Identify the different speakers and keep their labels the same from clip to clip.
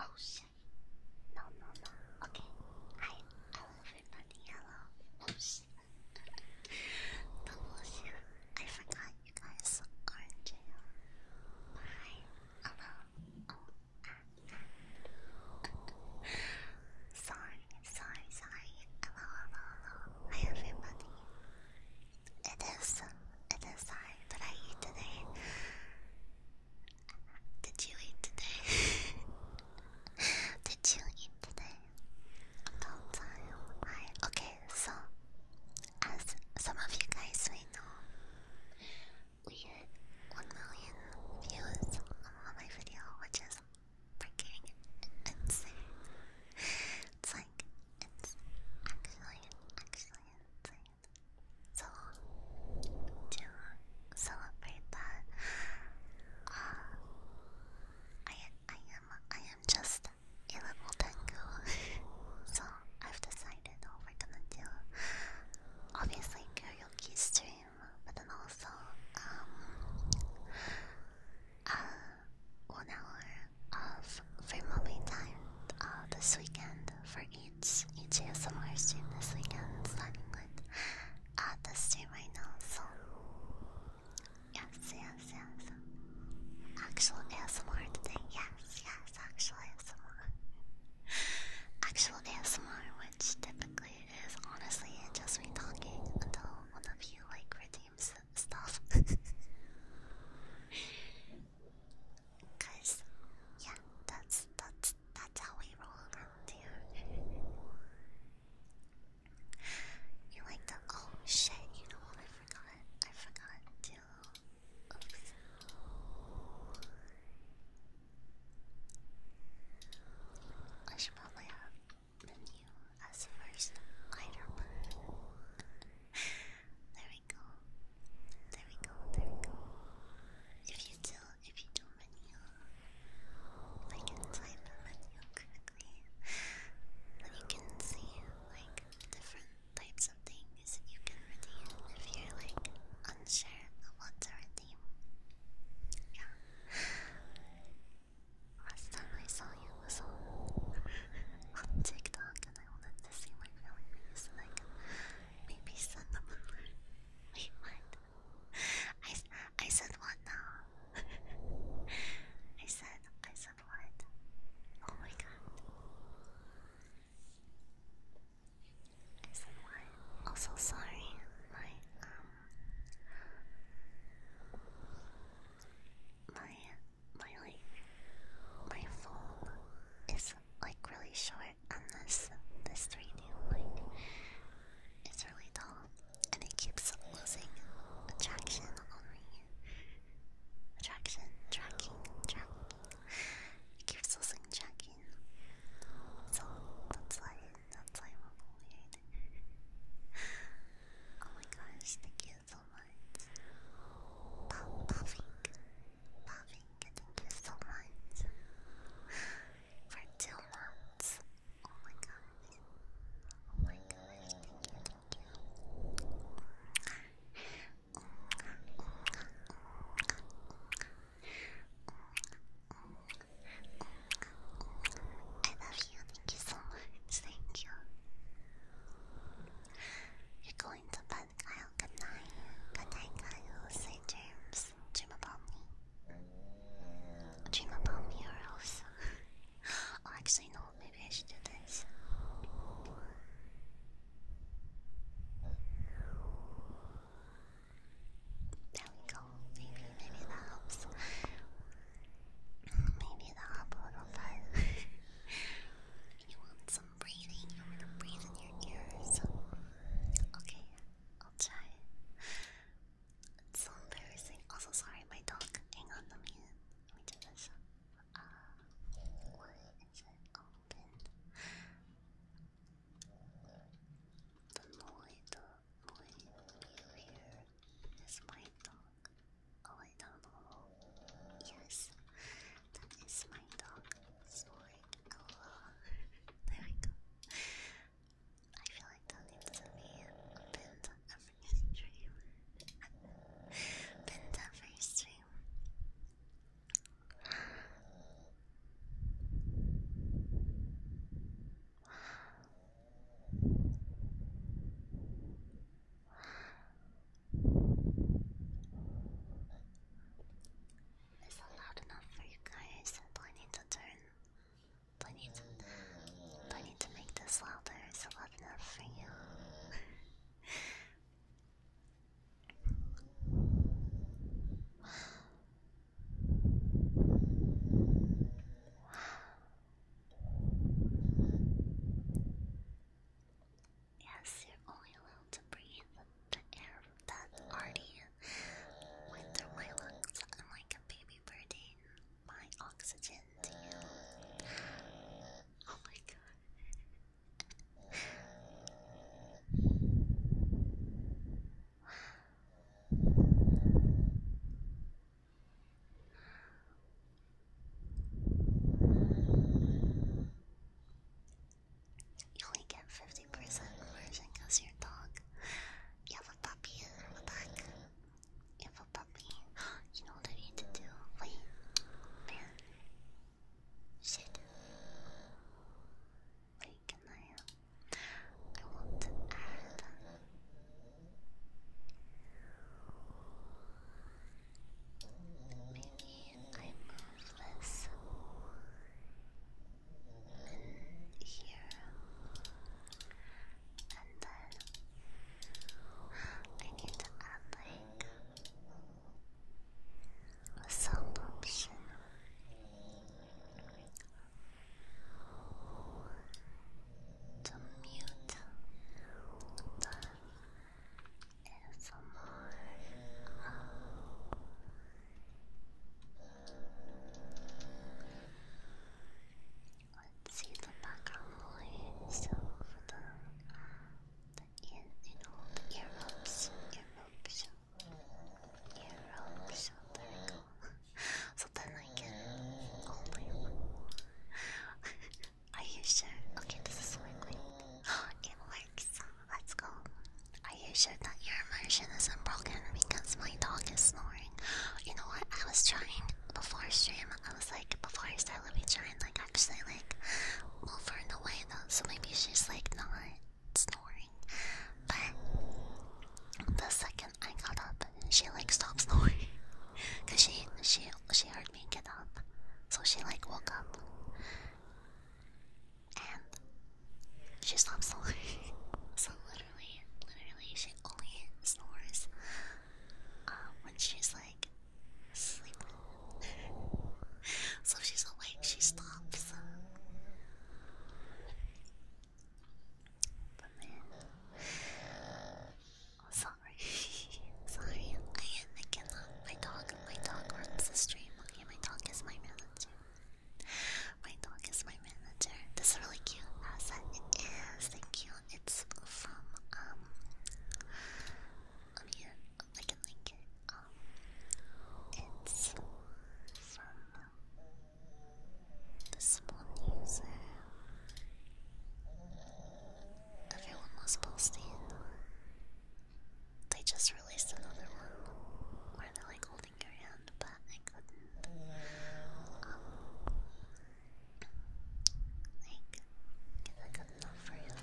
Speaker 1: Oh shit. No, no, no. Okay. Hi. Hello everybody. Hello. Oh shit. The bullshit. I forgot you guys are in jail. Hi. Hello. Oh. sorry, sorry, sorry. Hello, hello, hello. Hi everybody. It is. It is I that I eat today. Did you eat today? Did you eat today? Okay, so as some of you guys may know, we hit one million views on my video, which is freaking insane it's actually actually insane. So to celebrate that, I I am I am just a little tango. so I've decided what we're gonna do. Obviously karaoke stream, but then also one hour of free movie time uh, this weekend for each each ASMR stream this weekend, starting with uh, the stream right now. So yes, yes, yes. Actual ASMR today. Yes, yes. Actual ASMR. Actual ASMR, which typically is honestly just me talking until one of you like redeems stuff. Cause yeah, that's that's that's how we roll around You like the oh shit, you know what I forgot? I forgot to oops. I should probably have menu as first lighter there we go. There we go. There we go. If you do, if you do menu, I can type the menu correctly. Then you can see like different types of things you can redeem if you like unsure of what Yeah. Last time I saw you was on, on TikTok and I wanted to see my family face and I could maybe send them a Wait, what? I, I said what now? I said, I said what? Oh my god. I said what? Also oh, sorry, my, um... My my like my phone is like really short and this this 3D like it's really tall and it keeps losing attraction on me. Attraction, tracking, tracking. It keeps losing tracking. So that's why that's why I'm Oh my gosh, thank you you so much. Puff, puffing, puffing, thank you so much. For two months. Oh my gosh. Oh my gosh, thank you, I love you so much, thank you. You're going to bed, Kyle. Good night. Good night, Kyle. Say dreams. Dream about me. Dream about me or else. oh, actually, no. Maybe I should do this. There we go. Maybe, maybe that helps. Maybe that helps a little bit. You want some breathing? You want to breathe in your ears? Okay, I'll try. It's embarrassing. Also, sorry, my dog. Hang on a minute. Let me do this. Uh, The noise, the noise you hear is my dog. I don't know. Yes, that is my dog snoring. Oh, there we go. I feel like that needs to be pinned every stream. pinned every stream. Is that loud enough for you guys? Do I need to turn? Do I need to, do I need to make this louder? Is it loud enough for you? Yes, you're only allowed to breathe the air that already went through my lungs. I'm like a baby birdie. My oxygen Oh my god. You only get 50% immersion because your dog. You have a puppy You have a puppy. You know what I need to do? Wait. Man. Shit. Wait, can I? Uh, I want to add. Maybe I'm ruthless in here, and then I need to add a sound option. mute ASMR. Let's see the background noise. So the the ear, you know, the ear ropes, ear ropes, so then I can only. Are you sure? Okay, this is working. it works. Let's go. Are you sure that your immersion isn't broken because my dog is snoring? You know what? I was trying before stream. I was like, before I started. let me try and like actually like over her in the way though. So maybe she's like not snoring. But the second I got up, she like stopped snoring. Cause she she she heard me get up, so she like woke up, and she stops snoring. so literally, literally, she only snores uh, when she's like sleeping. so she's awake, she stops. But then, so sorry. sorry, I am making up. My dog, my dog runs the stream. my dog is my manager. My dog is my manager. This is really cute asset. It is. Thank you. It's from um. Let me I can link it. Um, it's from this one user. Everyone was posting they just released another one where they're like holding your hand, but I couldn't. Um, like, is that good enough for you?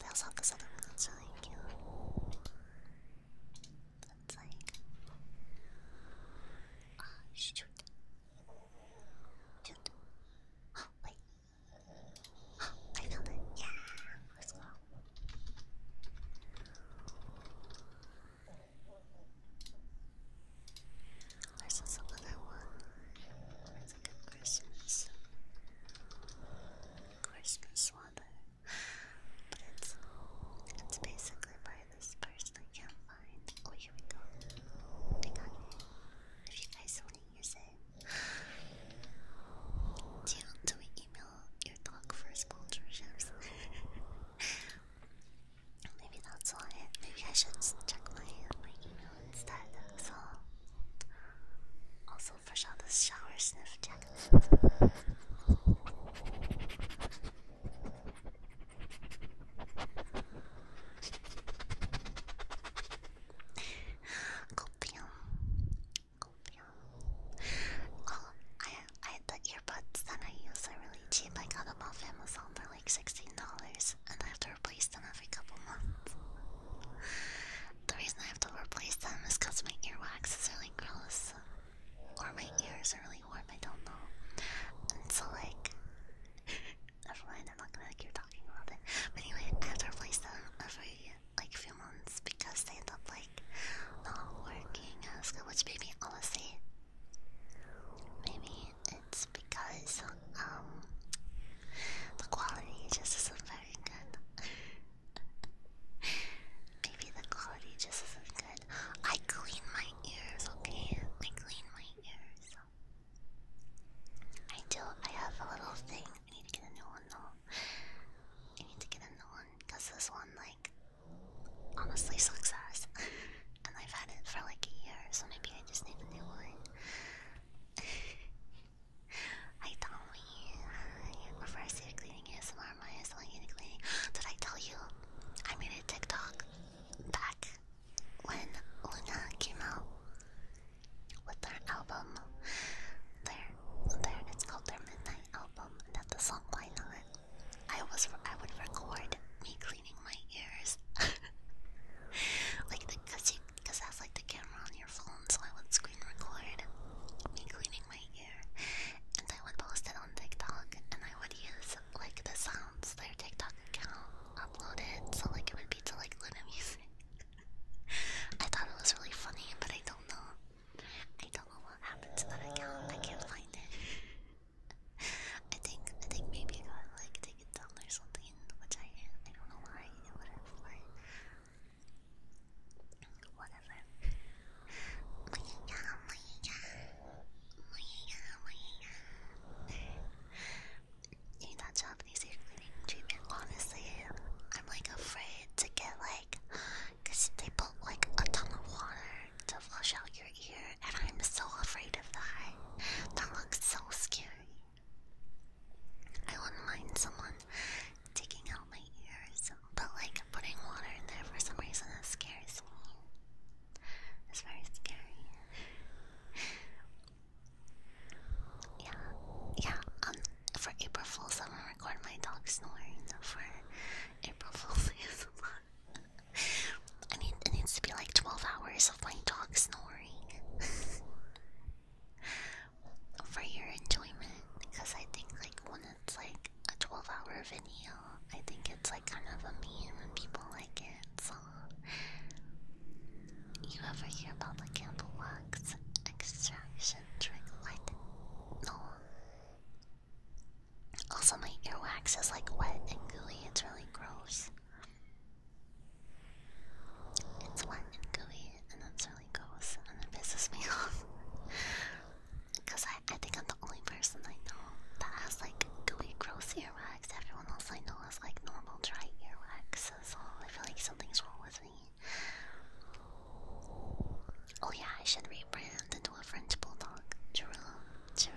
Speaker 1: They also have this other one that's really cute. That's like. Ah, shoot. Shoot. wait. I found it. Yeah, let's go. I saw some other one. It's a good Christmas. Christmas water. But it's it's basically by this person I can't find. Oh here we go. If you guys want to use it, do, do we email your dog for sponsorships? Maybe that's why. Maybe I should check my my email instead. So,
Speaker 2: also fresh out this shower sniff check.
Speaker 1: Copium. Copium. I, I the earbuds that I use are really cheap. I got them off Amazon for like sixteen dollars, and I have to replace them every couple months. The reason I have to replace them is because my earwax is really gross, or my ears are really warm. I don't know, and so like. Never mind. I'm not gonna keep talking about it. But anyway, I have to replace them every like few months because they end up like not working as Which maybe honestly, maybe it's because um the quality just isn't very good. Maybe the quality just isn't good. I clean my ears, okay? I clean my ears. I do. I have a little thing I need to get a new one though. I need to get a new one because this one, like, honestly sucks ass. and I've had it for like a year, so maybe I just need a new one. I told me your first year cleaning ASMR, my selling unit cleaning. Did I tell you I made a TikTok back when Luna came out? with their album. Their, their, it's called their Midnight Album, and that's the song line on I was, I would record me cleaning my ears, like the, cause you, cause that's like the camera on your phone, so I would screen record me cleaning my ear, and I would post it on TikTok, and I would use like the sounds their TikTok account it, so like it would be to like little music. I thought it was really funny, but I don't know. I don't know what happened to that account. I can't find it. I think I think maybe I got like taken down or something, which I I don't know why it would have like whatever. Doing not Japanese hair cleaning treatment, honestly, I'm like afraid to get like, cause they put like a ton of water to flush out your ear, and I'm so afraid of that. That looks so scary. I wouldn't mind someone taking out my ears, but like putting water in there for some reason it scares me. It's very scary. Yeah, yeah. Um, for April Fools, I'm gonna record my dog snoring. For April Fools, I it needs to be like twelve hours of my dog snoring for your enjoyment. Because I think like when it's like a twelve-hour video, I think it's like kind of a meme and people like it. So you ever hear about the Campbell Wax extraction trick? What? No. Also, my ear wax is like wet and gooey. It's really gross. It's wet and gooey, and it's really gross, and it pisses me off. Because I, I think I'm the only person I know that has like gooey, gross ear wax. Everyone else I know has like normal, dry ear wax. So I feel like something's wrong with me. Oh yeah, I should rebrand into a French bulldog. True, true.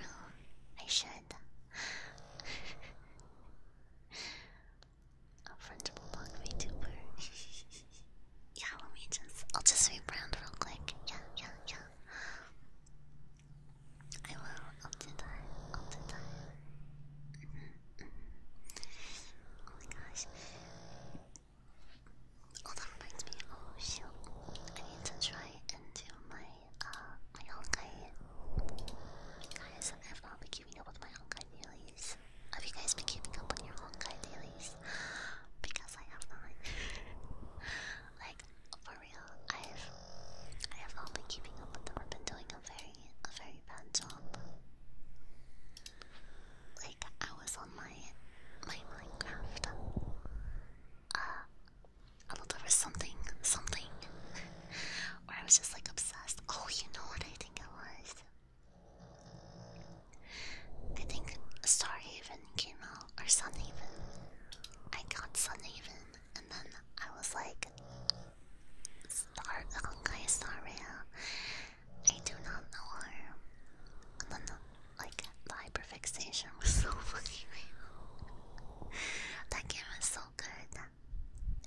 Speaker 1: I should. a French bulldog VTuber. yeah, let me just. I'll just rebrand real quick. Yeah, yeah, yeah. I will. I'll do that. I'll mm-hmm. Oh my gosh. Oh, that reminds me. Oh shoot! I need to try and do my uh my honkai. Guys, I have not been keeping up with my honkai dailies. Have you guys been keeping up with your honkai dailies? Because I have not. like for real, I've I have not been keeping up with them. I've been doing a very a very bad job. Like I was on my, my Minecraft. Uh, I there was something, something, Or I was just like obsessed. Oh, you know what I think it was. I think Star Haven came out, or Sun Haven. I got Sun Haven, and then I was like, Star, Honkai Star Rail, I do not know her. I do Like the hyper fixation was so fucking real. That game was so good.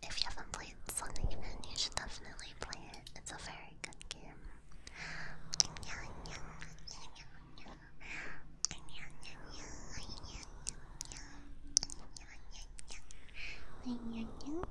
Speaker 1: If you haven't played Sonic Man, you should definitely play it. It's a very good game.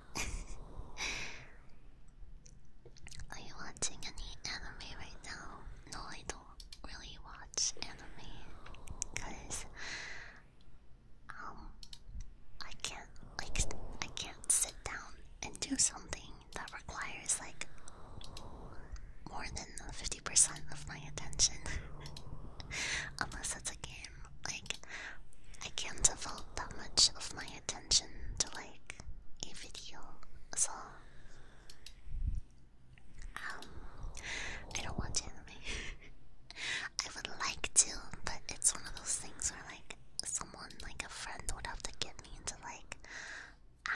Speaker 1: Are you watching any anime right now? No, I don't really watch anime because um I can't like I can't sit down and do something that requires like more than 50% of my attention unless it's a game like, I can't devote that much of my attention to like a video, so um, I don't want to. I would like to, but it's one of those things where like someone, like a friend, would have to get me into like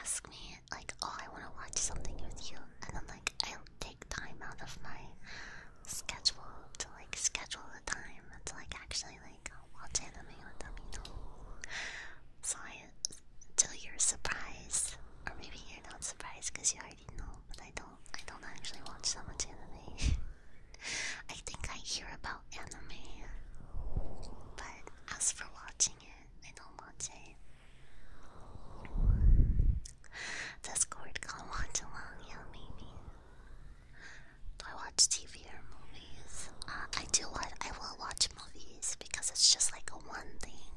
Speaker 1: ask me like, oh, I want to watch something with you, and then like I'll take time out of my schedule to like schedule a time to like actually like watch anime with them, you know. So I, till you're surprised, or maybe you're not surprised because you already know. But I don't, I don't actually watch that much anime. I think I hear about anime, but as for watching it, I don't watch it. Discord can watch along, yeah, maybe. Do I watch TV or movies? Uh, I do what I will watch movies because it's just like a one thing,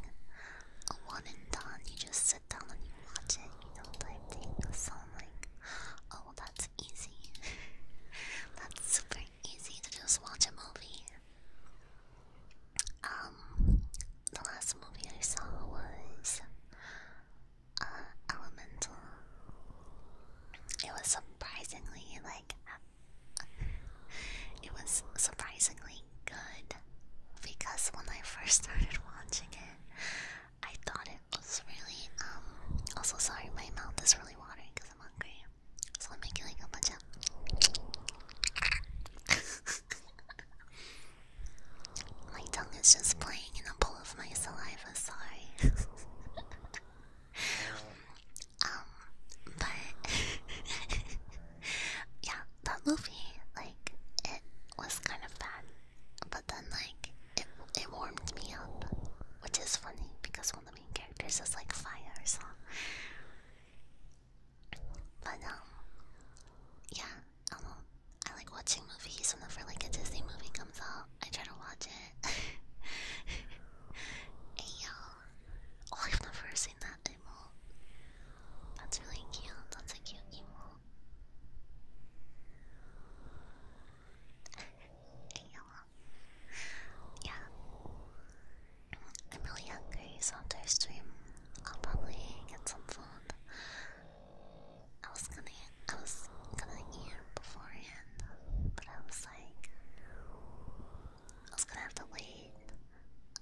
Speaker 1: a one and done. You just sit down and you watch it, you know, type thing. So I'm like, oh, that's easy. that's super easy to just watch a movie. Um, the last movie I saw was elemental. It was surprisingly like it was surprisingly good because when I first started watching it, I thought it was really um. Also, sorry, my mouth is really watering because I'm hungry, so let me making like a bunch of. my tongue is just playing in a pool of my saliva sorry. um, but yeah, that movie, like, it was kind of bad, but then like it it warmed me up, which is funny because one of the main characters is like fire, so. But um, yeah, I don't I like watching movies whenever like a Disney movie comes out. I try to watch it. hey y'all. Oh, I've never seen that emo. That's really cute. That's a cute emo. hey y'all. Yeah. I'm really hungry, so after stream, I'll probably get some food. I was gonna, I was gonna eat beforehand, but I was like, I was gonna have to wait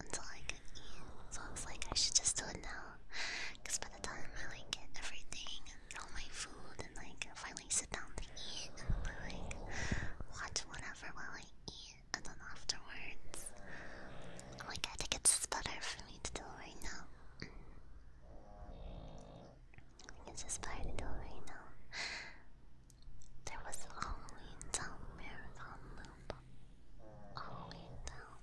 Speaker 1: until I could eat. So I was like, I should just do it now, cause by the time I like get everything, and all my food, and like finally sit down to eat, and like watch whatever while I eat, and then afterwards, i like, I think it's better for me to do it right now. It's a spider door right now. There was a Halloween Town marathon loop. Halloween Town.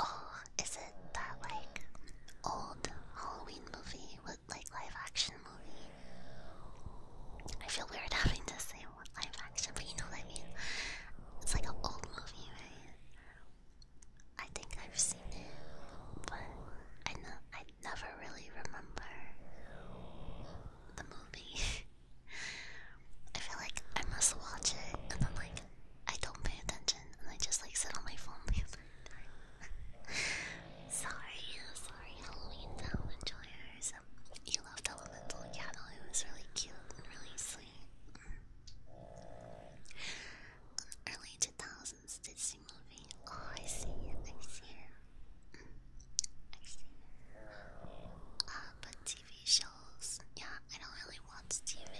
Speaker 1: Oh, is it that like old Halloween movie with like live action movie? I feel weird having to say live action, but you know what I mean. It's like an old movie, right? I think I've seen it, but I know I never really remember the movie. I feel like I must watch it and then like I don't pay attention and I just like sit on my phone sorry, sorry, Halloween enjoyers. You loved Elemental Cattle, it was really cute really sweet an early 2000s Disney movie. Oh, I see it, I see mm, I see it. Uh, but TV shows, yeah, I don't really watch TV.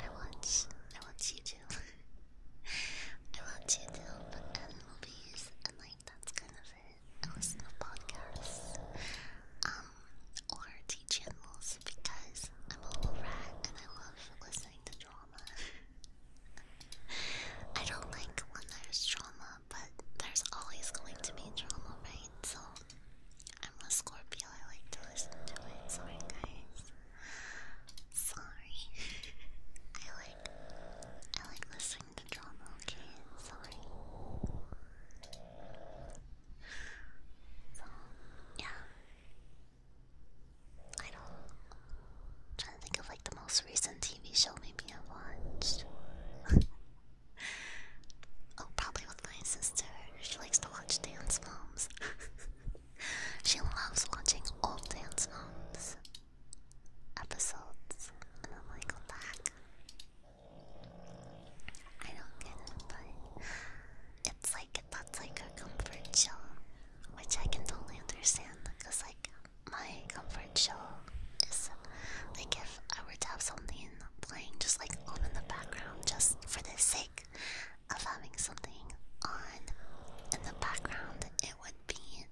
Speaker 1: I watch, I watch YouTube. I watch YouTube and movies, and like that's kind of it. I listen to podcasts, um, or TV channels because I'm a little rat and I love listening to drama. I don't like when there's drama, but there's always going to be drama, right? So I'm a Scorpio, I like to listen to it. Sorry, guys. Sorry. I like I like listening to drama, okay? Sorry. yeah. I don't. trying to think of like the most recent TV show maybe I watched. oh, probably with my sister. She likes to watch Dance Moms. she loves watching old Dance Moms episodes, and i like, what the I don't it's like that's like her comfort show, which I can totally understand. Cause like my comfort show is like if I were to have something playing just like on in the background, just for the sake of having something on in the background, it would be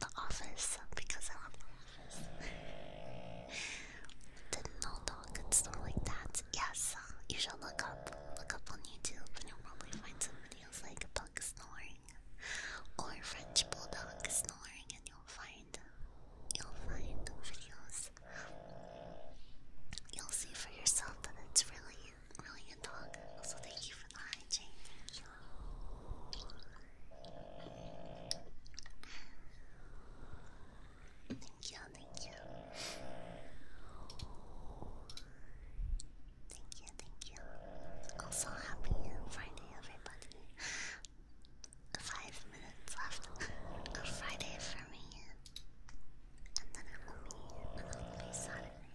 Speaker 1: The Office because I love The Office. Didn't and stuff like that. Yes, you should look up look up on YouTube and you'll probably find some videos like a dog snoring or French bulldog snoring, and you'll find you'll find videos. You'll see for yourself that it's really, really a dog. So thank you for the hygiene. Thank you, thank you. Thank you, thank you. Also, happy Friday, everybody. Five minutes left of Friday for me. And then it will be, and it Saturday.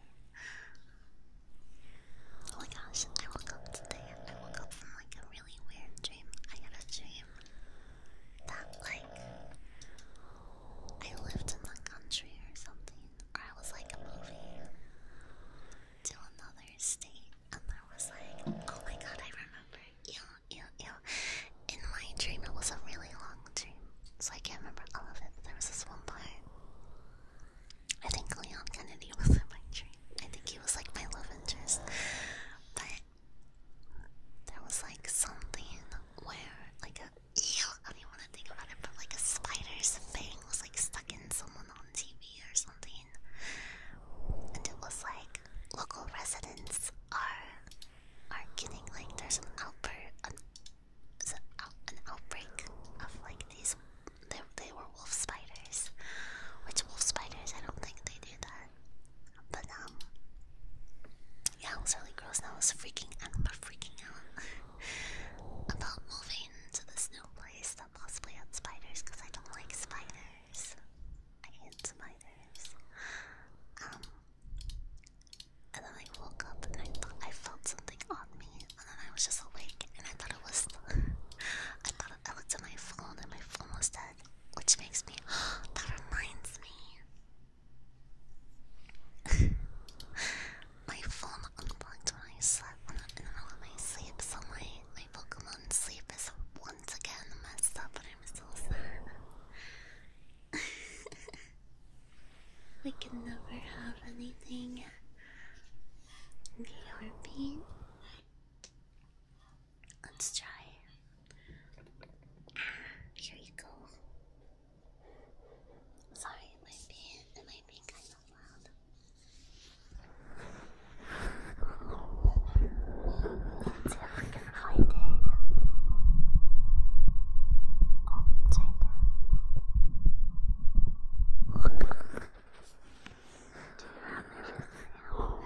Speaker 1: Oh my gosh, I woke up today. I woke up from like a really weird dream. I had a dream that like I lived in the country or something, or I was like a movie to another state, and I was like, oh my god, I remember. Yeah, yeah, yeah. In my dream, it was a really long dream, so I can't remember all of it. There was this one part. I think Leon Kennedy was in my dream. I think he was like my love interest, but there was like something where like a I don't to think about it, but like a spider's fang was like stuck in someone on TV or something. And it was like local residents are are getting like there's an outbreak, an, out, an outbreak of like these. They, they were wolf spiders, which wolf spiders I don't think they do that. But um, yeah, it was really gross and I was freaking out about freaking out about moving to this new place that possibly had spiders because I don't like spiders. I hate spiders. Um and then I woke up and I I felt something on me and then I was just awake and I thought it was I thought I looked at my phone and my phone was dead. Which makes me that reminds me. my phone unplugged when I slept when in the middle of my sleep, so my, my Pokemon sleep is once again messed up But I'm still sad. we can never have anything. Okay, Let's try. Ah, here you go. Sorry, it might be it might be kind of loud. Oh, it's fucking hiding. Oh, right there. Do you have everything out?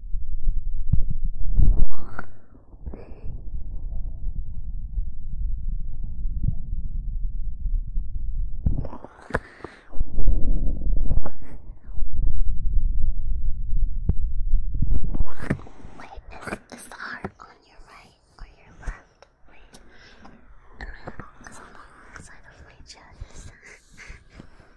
Speaker 1: Wait, is, is the heart on your right or your left? Wait, it's on the side of my chest.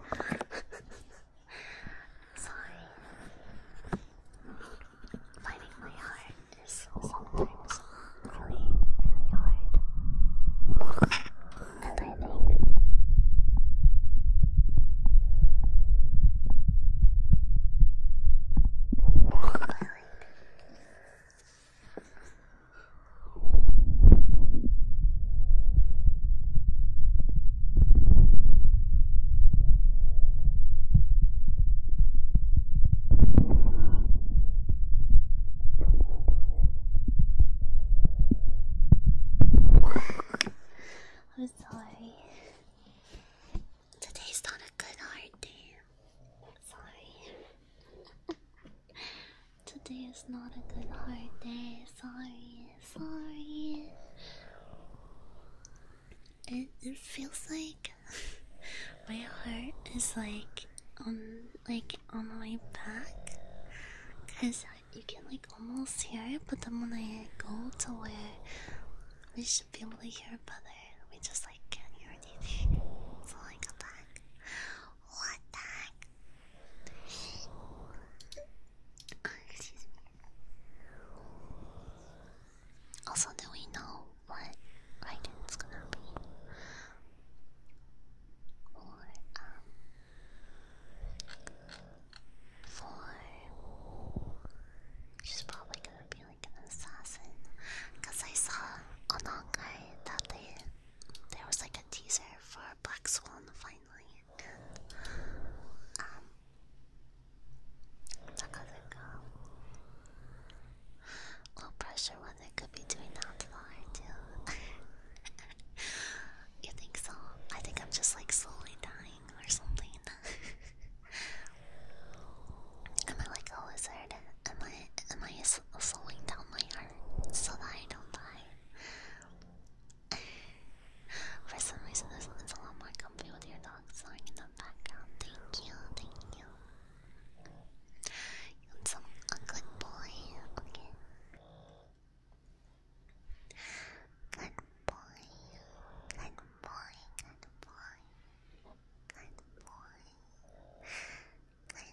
Speaker 1: Sorry. Finding my heart is sometimes really, hard. And I think I I'm sorry. Today's not a good art day. I'm sorry. Today is not a good hard day. Sorry, sorry. It, feels like my heart is like on like on the way back, cause you can like almost hear it. But then when I go to where we should be able to hear better, we just like can't hear anything. So I back. What the heck? Also, do we know what Raiden's gonna be? Or, um, for. She's probably gonna be like an assassin. Because I saw on guy that they, there was like a teaser for Black Swan 5 finally um, it did. Um, because go. Low pressure when could be doing that far too. you think so? I think I'm just like slowly dying or something. am I like a lizard? Am I am I slowing down my heart so that I don't die? For some reason, this one is a lot more comfy with your dog song in the background. Thank you, thank you. You want some ugly boy? Okay. Good boy. Good boy. Good boy. Good boy. Good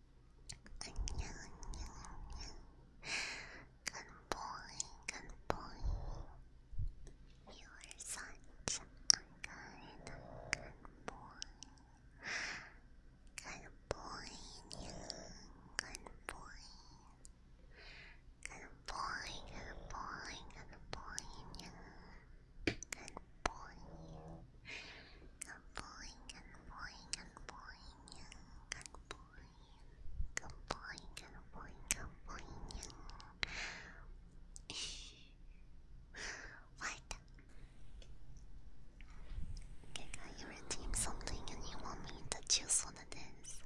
Speaker 1: Good boy, good boy. You are such a good, good boy. Good boy, good boy. Good boy, good boy, good boy. Good boy, good boy. Good boy. Good boy, good boy, good boy. Good boy. Good boy, good boy, good boy. what? Okay, you redeem something and you want me to choose what it is.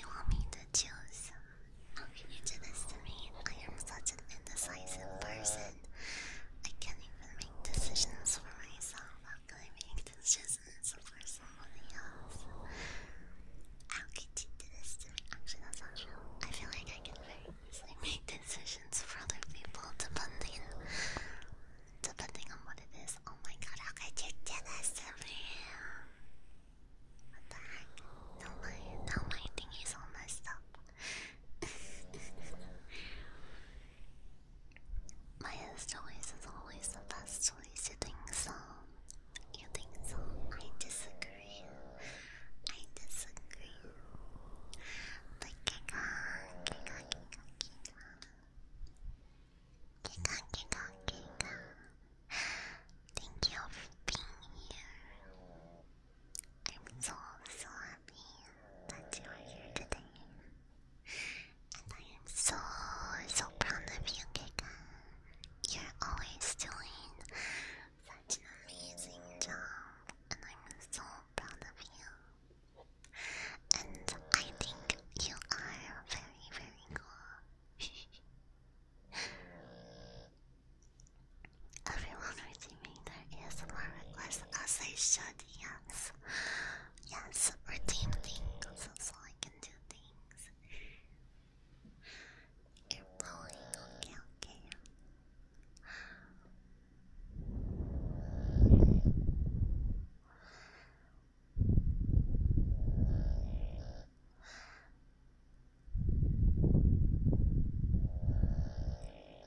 Speaker 1: You want me to choose? How can you do this to me? I am such an indecisive person. I can't even make decisions for myself. How can I make decisions for somebody else? How could you do this to me? Actually, that's not true. I feel like I can very easily make decisions for other people depending, depending on what it is. Oh my god, how could you do this to me? What the my, now my thing is all messed up. Maya's choice is always the best choice, you You think so? I disagree. I disagree. Thank you for being here. I'm so, so happy that you are here today. And I am so, so proud of you, Kika. You're always doing such an amazing job, and I'm so proud of you. And I think you are very, very cool. Everyone redeeming their ASMR requests as I should, yes. Yes, redeem so I can do things. You're blowing, okay, okay.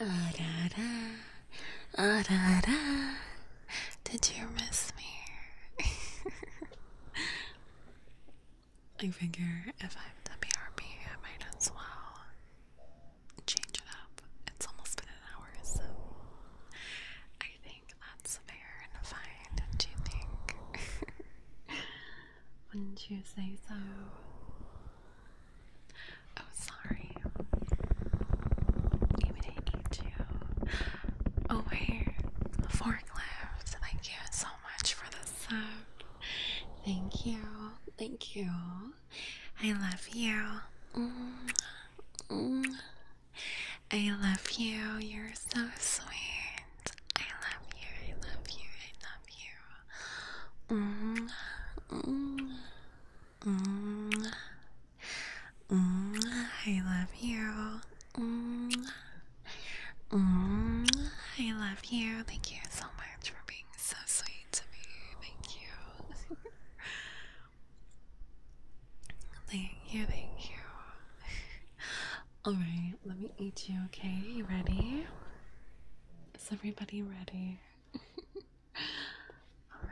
Speaker 3: ah, da, da. Ah, da, da. Did you miss me? I figure if I'm the BRB, I might as well change it up. It's almost been an hour, so I think that's fair and fine, don't you think? Wouldn't you say so? Oh, sorry. You would a you too. Oh, wait. Forklift. Thank you so much for the sub. Thank you. Thank you. I love you. Mm-hmm. Mm-hmm. I love you. You're so sweet. I love you. I love you. I love you. Mm -hmm. Mm -hmm. -hmm. I love you. -hmm. -hmm. I love you. Thank you so much for being so sweet to me. Thank you. Thank you, thank you. Alright, let me eat you, okay? You ready? Is everybody ready?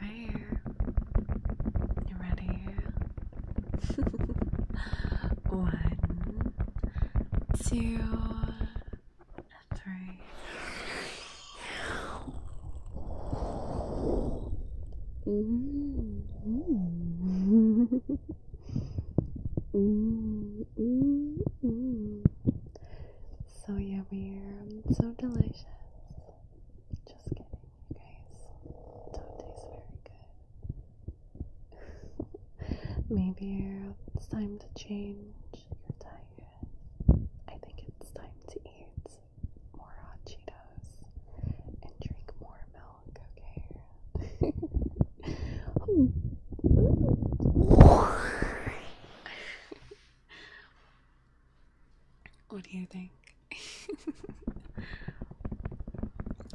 Speaker 3: Alright. You ready? One, two, three.
Speaker 2: Mm. Mm.
Speaker 1: So yummy,
Speaker 3: um, so delicious. Just kidding, you guys. Don't taste very good. Maybe it's time to change your diet. I think it's time to eat more hot Cheetos and drink more milk what do you think?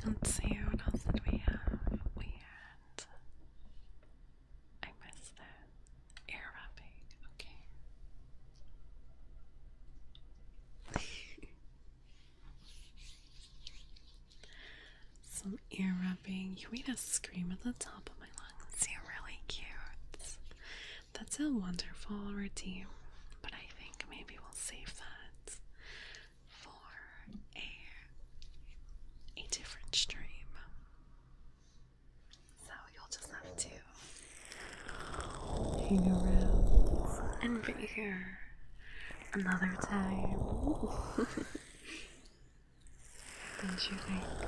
Speaker 3: Let's see what else we have. We had I missed that. Air wrapping, okay. Some ear rubbing. You made a scream at the top of my lungs. You're really cute. That's a wonderful routine, but I think maybe we'll save that for a a different stream. So you'll just have to hang around and be here another time. Don't you think?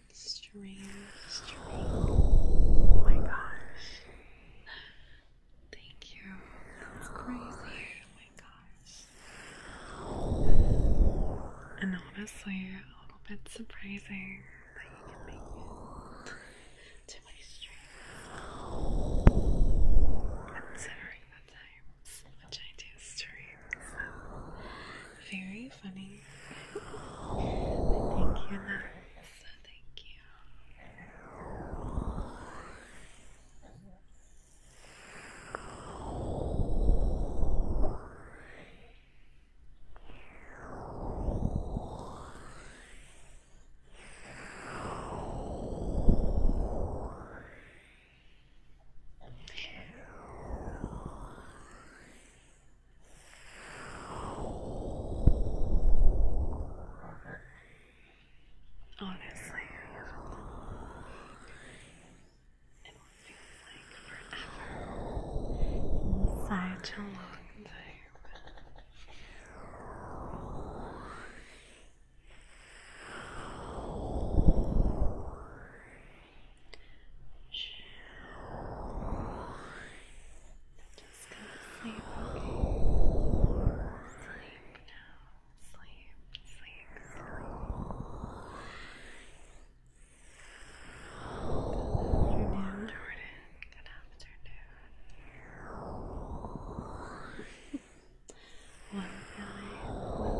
Speaker 3: Strange. string. Oh my gosh. Thank you. That's crazy. Oh my gosh. And honestly, a little bit surprising that you can make it to my stream. Considering the times which I do stream. So very funny. thank you, so thank you. Honestly, it feels like forever. Such a long just go to sleep, okay? Sleep now. Sleep, sleep, sleep. Good afternoon, Jordan. Good afternoon. One feeling. Good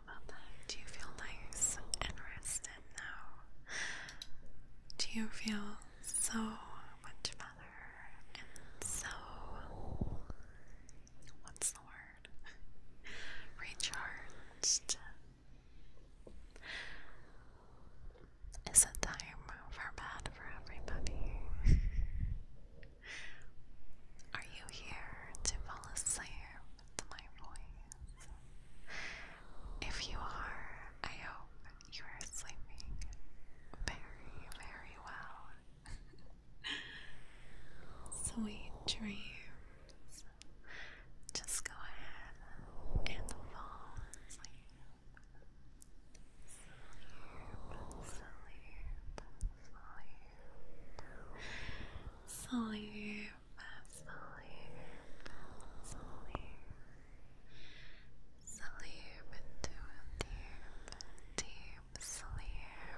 Speaker 3: Do you feel nice and rested now? Do you feel so much better and so what's the word? Recharged. It's a time for bed for everybody. Are you here to fall asleep? my voice. If you are, I hope you are sleeping very, very well. Sweet dreams. Just go ahead and fall asleep. Sleep, sleep, sleep. Sleep, sleep, sleep, sleep into deep, deep sleep,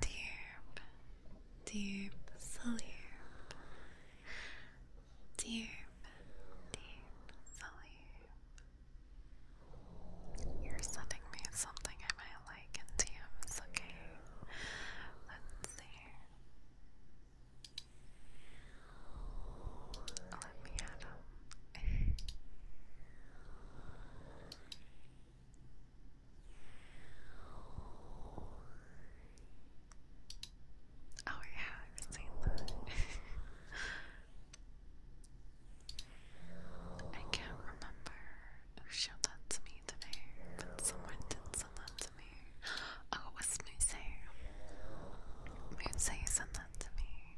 Speaker 3: deep, deep sleep, deep, deep sleep. You're sending me something I might like in DMs, okay? Let's see. Let me add up. oh yeah, I've seen that. I can't remember who showed that to me today, but someone did send that to Oh, it was sent that to me.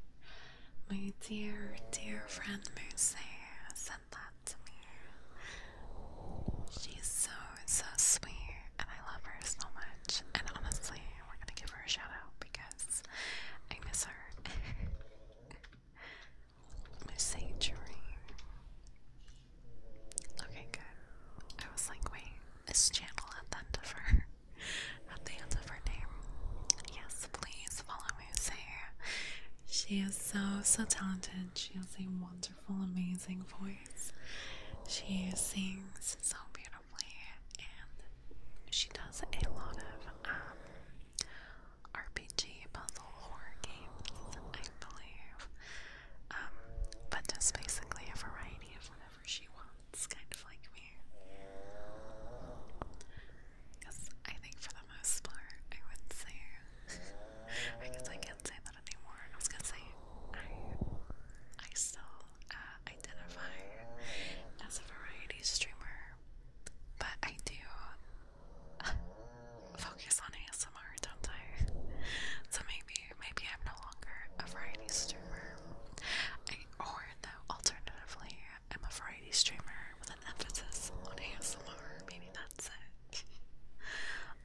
Speaker 3: My dear, dear friend Musei sent that to me. She's so, so sweet, and I love her so much. And honestly, we're gonna give her a shout out because I miss her. Musei Dream. Okay, good. I was like, wait, is channel at the end of her at the end of her name? Yes, please follow me, she is so so talented. She has a wonderful, amazing voice. She sings so beautifully, and she does a lot of um, RPG puzzle horror games, I believe. Um, but just basically a variety of whatever she wants, kind of like me. Because I think for the most part, I would say, I guess I can't say that anymore. I was gonna say, I, I still uh, identify as a variety streamer, but I do. focus on ASMR, don't I? So maybe, maybe I'm no longer a variety streamer, or alternatively, I'm a variety streamer with an emphasis on ASMR. Maybe that's it.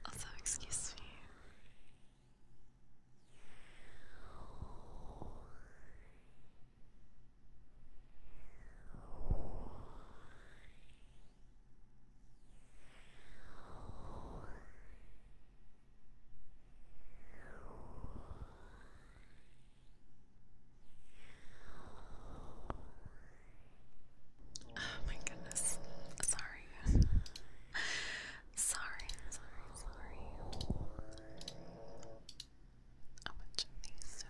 Speaker 3: also, excuse me. Oh my goodness. Sorry. sorry, sorry, sorry. How much of these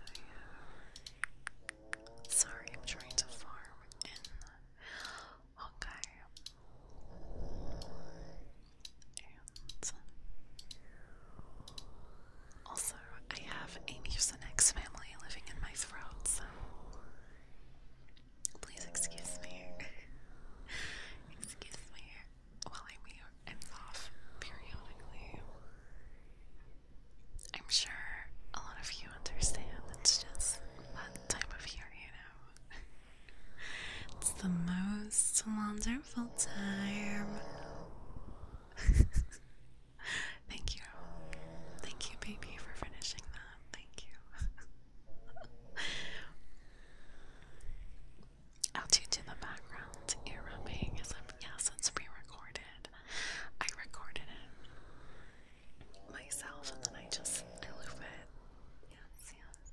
Speaker 3: Sorry, I'm trying to farm in. Okay. And also, I have a mucinex family living in my throat, so please excuse me. excuse me while I mute off periodically. I'm sure a lot of you understand. It's just that time of year, you it's the most wonderful time. Thank you. Thank you, baby, for finishing that. Thank you. I'll tune to the background ear Yes, it's pre recorded. I recorded it myself, and then I just I it. Yes, yes.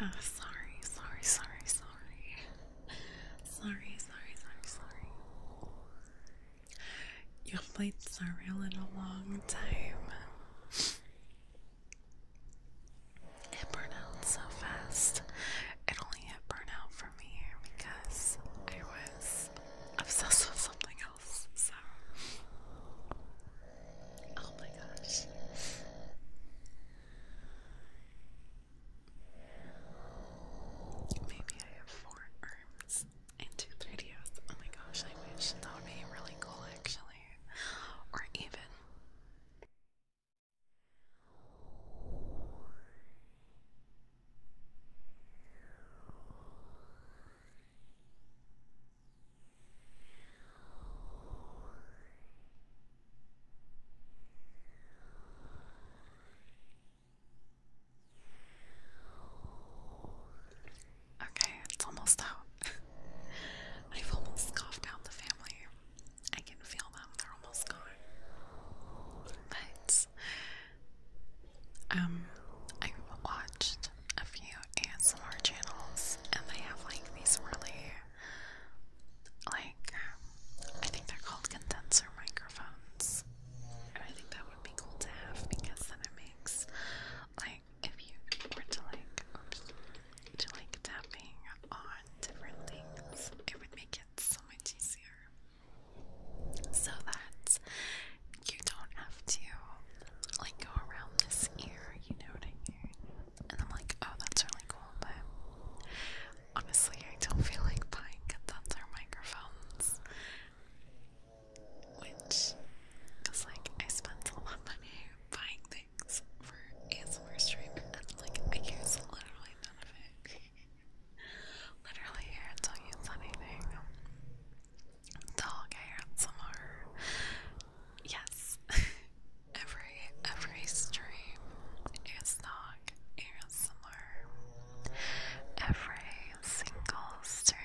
Speaker 3: Oh, sorry, sorry, sorry, sorry. Sorry, sorry, sorry, sorry. Your flights are Surreal in a long time. It burned out so fast. It only hit burnout for me because I was obsessed with something else. So, oh my gosh. Maybe I have four arms and 3 3DOs. Oh my gosh, I wish that would be really cool actually. Or even Okay, it's almost out. I've almost scoffed out the family. I can feel them, they're almost gone. But um I watched a few ASMR channels and they have like these really like um, I think they're called condenser microphones. I think that would be cool to have because then it makes like if you were to like to like tapping on different things, it would make it so much easier. So that you don't have to like go around this ear, you know what I mean? And I'm like, oh, that's really cool, but honestly, I don't feel like buying condenser microphones which because like I spend a lot of money buying things for ASMR stream and like I use literally none of it. literally here it's not use anything. Dog hair ASMR. Yes. every every stream is dog ASMR. Every single stream.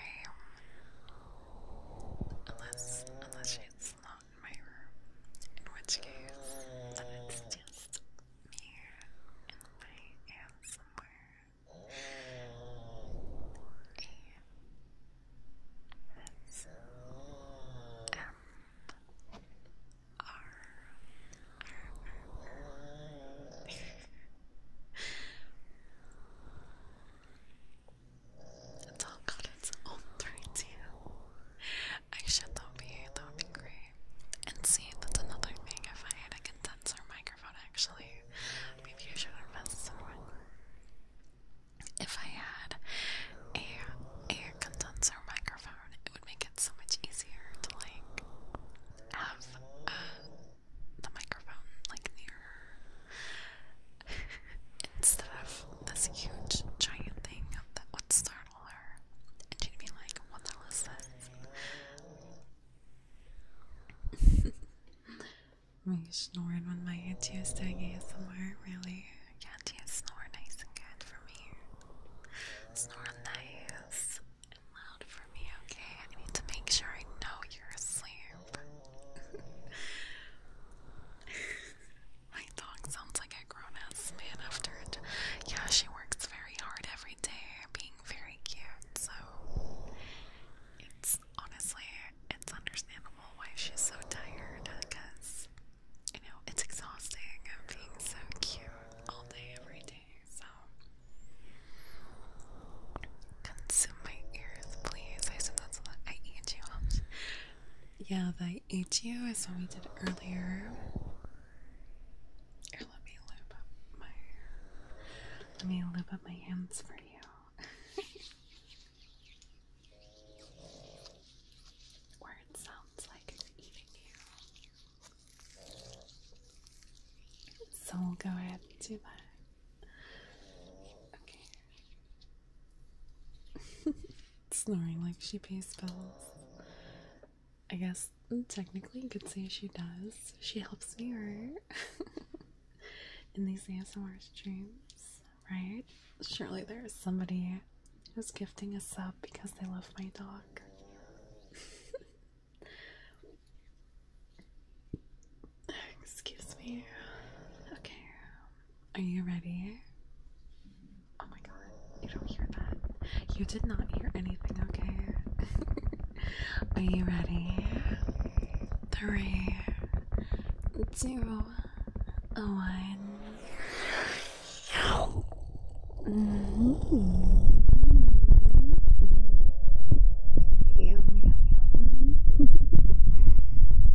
Speaker 3: Unless unless she's not in my room. In which case then just me and my aunt somewhere. It's it's all its own threads, yeah. I should though be, that would be great. And see, that's another thing, if I had a condenser microphone actually, maybe you should invest in one. If I had a, a condenser microphone, it would make it so much easier to like have uh, the microphone like near instead of this huge giant thing that would startle her and she'd like, what the hell is this? Are you when my auntie is doing ASMR? Really? Your auntie is snore nice and good for me. Snore nice and loud for me, okay? I need to make sure I know you're asleep. My dog sounds like a grown ass man after it. Yeah, she works very hard every day, being very cute, so it's honestly, it's understandable why she's so tired because, you know, it's exhausting being so cute all day, every day, so. Consume my ears, please. I said that's what I eat you. Yeah, the eat you is what we did earlier. let me lube up my let me lube up my hands for you. Where it sounds like it's eating you. So we'll go ahead and do that. Snoring like she pays bills. I guess technically you could say she does. She helps me her in these ASMR streams, right? Surely there is somebody who's gifting us up because they love my dog. Excuse me. Okay. Are you ready? Oh my god, you don't hear that. You did not hear anything, okay? Are you ready? Three, two, one. Mm Yum, yum, yum.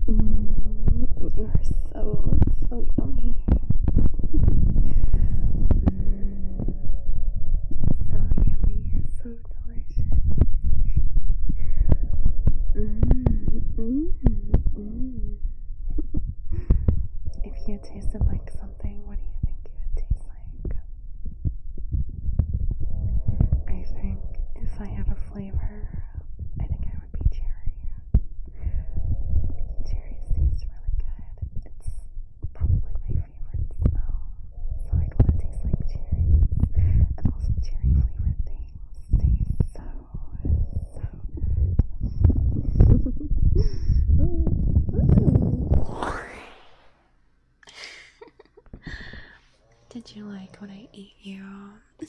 Speaker 3: Mm, you are so, so yummy. Mm, so yummy, so delicious. Mm, if you tasted like something, what do you think you would taste I think if I had a flavor, I think I would be cherry. Cherry tastes really good. It's probably my favorite smell. So i want to taste like cherries. And also cherry flavored things taste so Did you like when I eat you?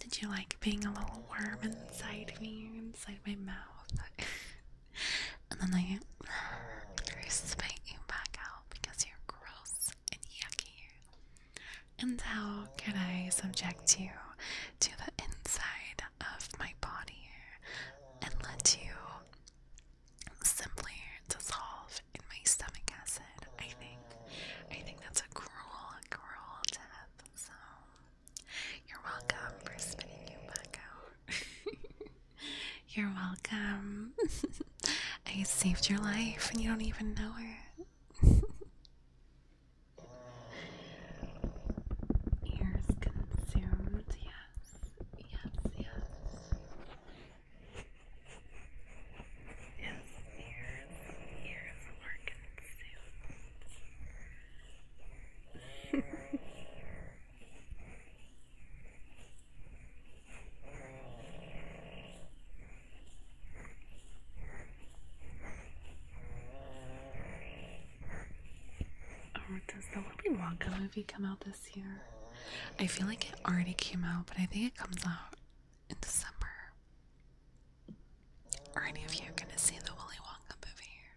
Speaker 3: Did you like being a little worm inside me, inside my mouth? and then I spit you back out because you're gross and yucky. And how can I subject you to the inside of my body and let you simpler to solve in my stomach acid. I think I think that's a cruel, cruel death. So you're welcome for spitting you back out. you're welcome. I saved your life and you don't even know it. Ears consumed, yes, yes, yes. His oh, ears, does the Willy Wonka movie come out this I feel like it already came out, but I think it comes out in the summer. Are any of you gonna see the Willy Wonka movie?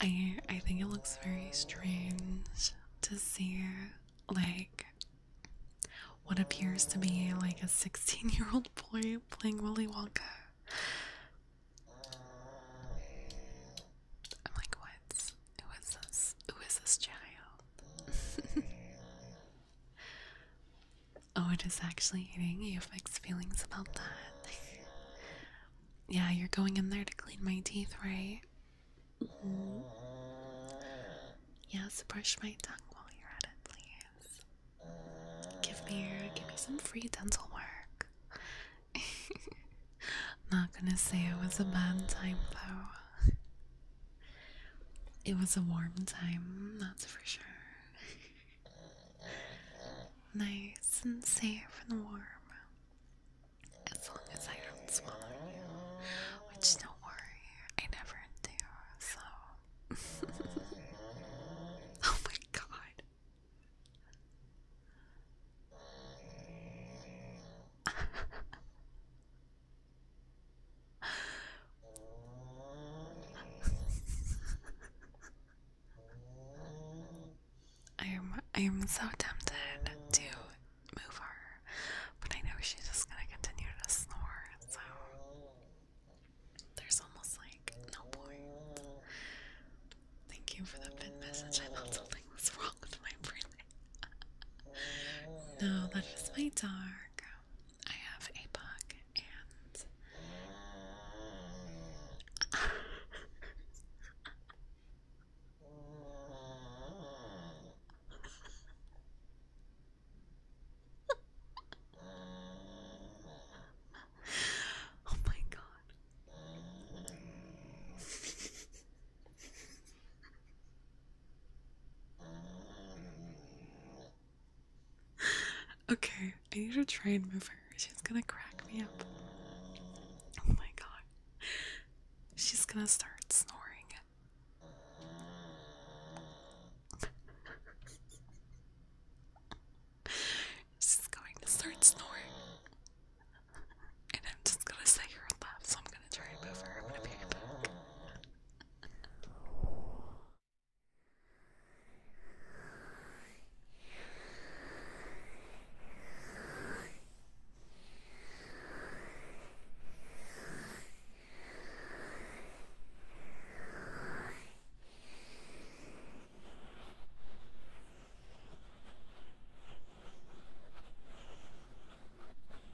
Speaker 3: I I think it looks very strange to see like what appears to be like a 16 year old boy playing Willy Wonka. I'm like, what? Who is this? Who is this child? oh, it is actually eating. You have mixed feelings about that. yeah, you're going in there to clean my teeth, right? Mm-hmm. Yes, brush my tongue while you're at it, please. Give me give me some free dental work. Not gonna say it was a bad time though. It was a warm time, that's for sure. nice and safe and warm. As long as I don't swallow you. Which don't worry, I never do, so Oh my god. I am I am so tempted to move her, but I know she's just gonna continue to snore, so there's almost like no point. Thank you for the pin message. I thought something was wrong with my breathing no, that is my dog. I have a bug and oh my god okay, I need to try and move her. She's gonna crack me up. Oh my god. She's gonna start snoring. She's going to start snoring
Speaker 1: and I'm just gonna say you're a love, so I'm gonna try and move her. I'm gonna pay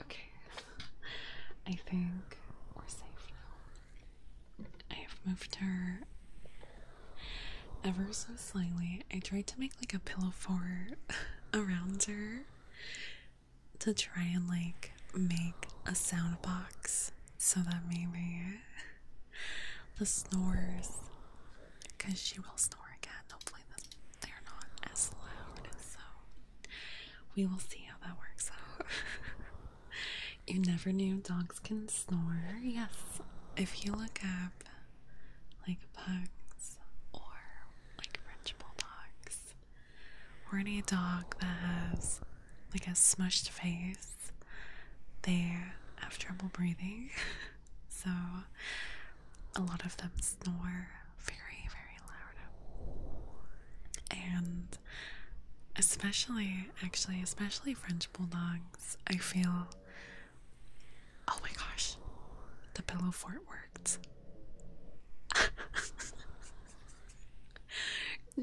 Speaker 3: Okay, I think we're safe now. I have moved her ever so slightly. I tried to make like a pillow fort around her to try and like make a sound box so that maybe the snores, because she will snore again. Hopefully, they're not as loud. So we will see how that works out. you never knew dogs can snore. Yes, if you look up like pugs or like French bulldogs or any dog that has like a smushed face they have trouble breathing. so a lot of them snore very, very loud. And especially, actually, especially French bulldogs, I feel oh my gosh, the pillow fort worked.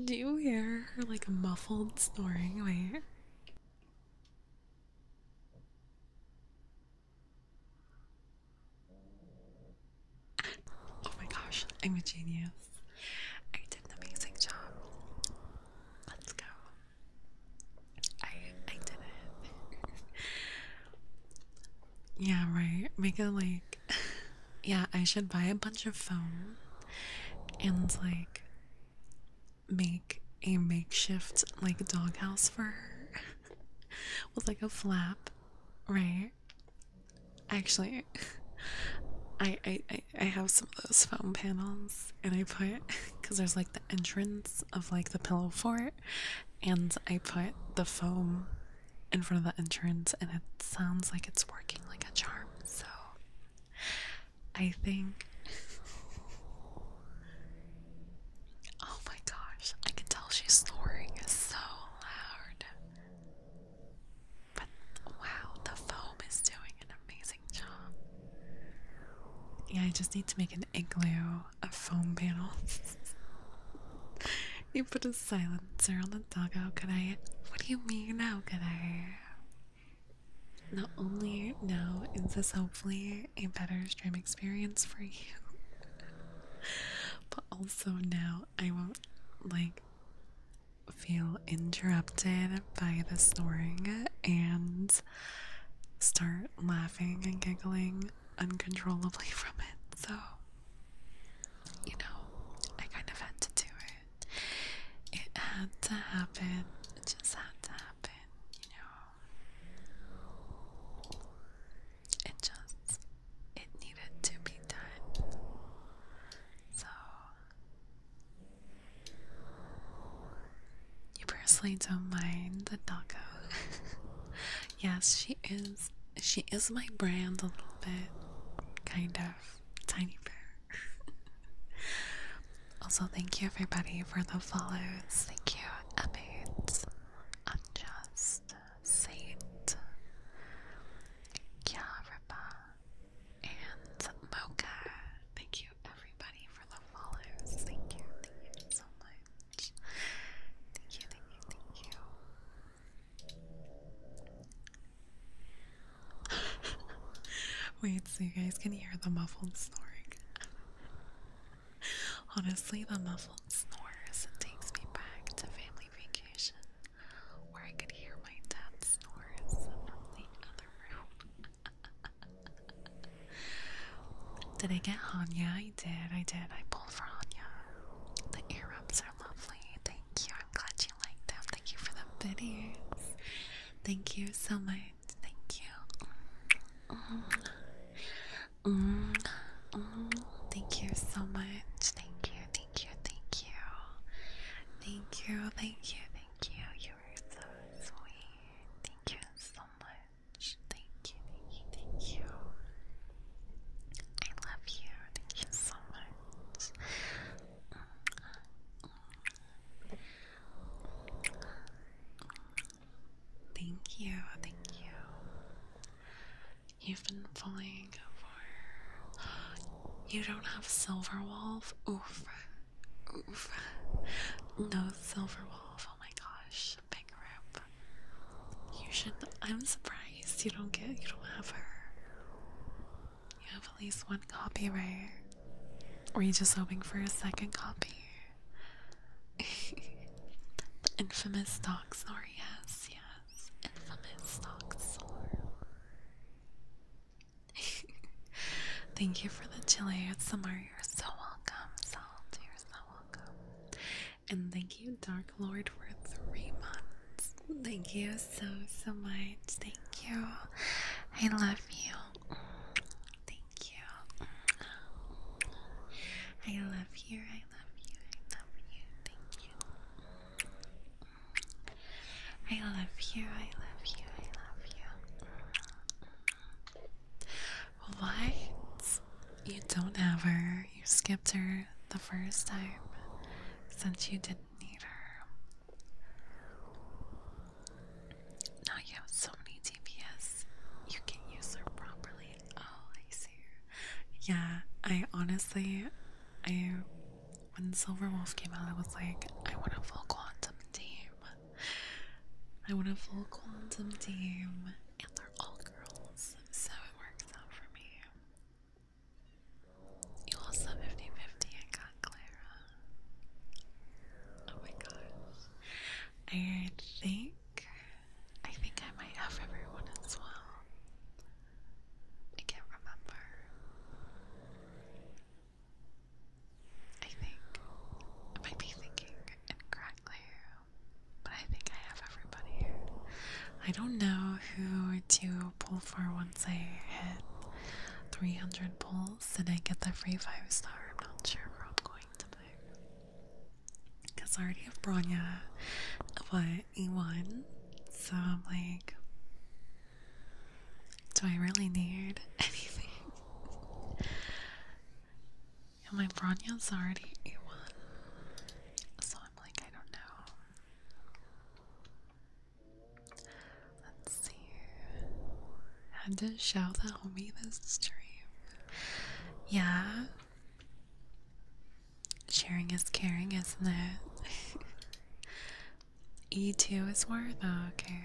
Speaker 3: Do you hear her like muffled snoring? Wait. Oh my gosh, I'm a genius. I did an amazing job. Let's go. I I did it. yeah, right. Make it like yeah, I should buy a bunch of foam and like make a makeshift like doghouse for her with like a flap, right? Actually, I, I I I have some of those foam panels, and I put because there's like the entrance of like the pillow fort, and I put the foam in front of the entrance, and it sounds like it's working like a charm. So I think. Oh my gosh, I can tell she's snoring so loud. But wow, the foam is doing an amazing job. Yeah, I just need to make an igloo a foam panel. you put a silencer on the doggo, could I? What do you mean, how could I? Not only now is this hopefully a better stream experience for you, but also now I won't like feel interrupted by the snoring and start laughing and giggling uncontrollably from it. So, you know, I kind of had to do it. It had to happen. It just had to happen, you know. It just it needed to be done. So you personally don't mind the doggo? yes, she is she is my brand a little bit. Kind of. Tiny bear. also, thank you everybody for the follows. Thank you, Emmett, Unjust, Saint, Kiarapa, and Mocha. Thank you everybody for the follows. Thank you, thank you so much. Thank you, thank you, thank you. Wait, so you guys can hear the muffled snoring. Honestly, the muffled snores takes me back to family vacation where I could hear my dad snores in the other room. did I get Hanya? I did, I did. I pulled for Hanya. The earrings are lovely. Thank you. I'm glad you you like them. Thank you for the videos. Thank you so much. Thank you. Mm. Mm. Mm. Thank you so much. Thank you. Thank you. Thank you. Thank you. Thank you. Thank you. You are so sweet. Thank you so much. Thank you. Thank you. Thank you. I love you. Thank you so much. Thank you, thank you. You've been pulling for. You don't have silver wolf? Oof. Oof. No silver wolf. Oh my gosh. Big rip. You should. I'm surprised you don't get. You don't have her. You have at least one copy, right? Were you just hoping for a second copy? the infamous dog snore, yes, yes. Infamous dog snore. Thank you for the chili, Samar. You're so welcome, Salt. You're so welcome. And thank you, Dark Lord, for three months. Thank you, so, so much. Thank you. I love you. Thank you. I love you. I love you. I love you. Thank you. I love you. I love you. I love you. What? You don't have her. You skipped her the first time since you didn't need her. Now you have so many DPS. You can use them properly. Oh, I see. Yeah, I honestly, I when Silver Wolf came out, I was like, I want a full quantum team. I want a full quantum team, and they're all girls, so it works out for me. You also 50 50 Clara. Oh my gosh. I think I think I might have everyone as well. I can't remember. I think I might be thinking incorrectly, but I think I have everybody. I don't know who to pull for once I hit 300 pulls else did I get the free five star? I'm not sure where I'm going to pick. Because I already have Bronya, but E1? So I'm like, do I really need anything? And my Bronya's already E1. So I'm like, I don't know. Let's see. Had to show the homie this stream. Yeah. Sharing is caring, isn't it? E2 is worth. Oh, okay.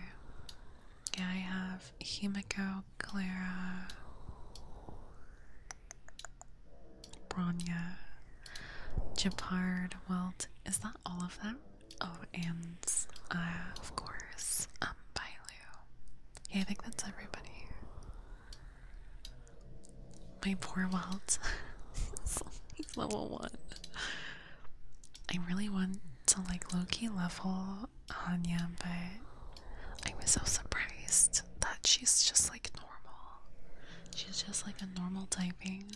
Speaker 3: Yeah, I have Himiko, Clara, Bronya, Japard, Welt. Is that all of them? Oh, and uh, of course, um, Bailu. Yeah, I think that's everybody. My poor Walt. He's level one. I really want to like low level Hanya, but I was so surprised that she's just like normal. She's just like a normal typing.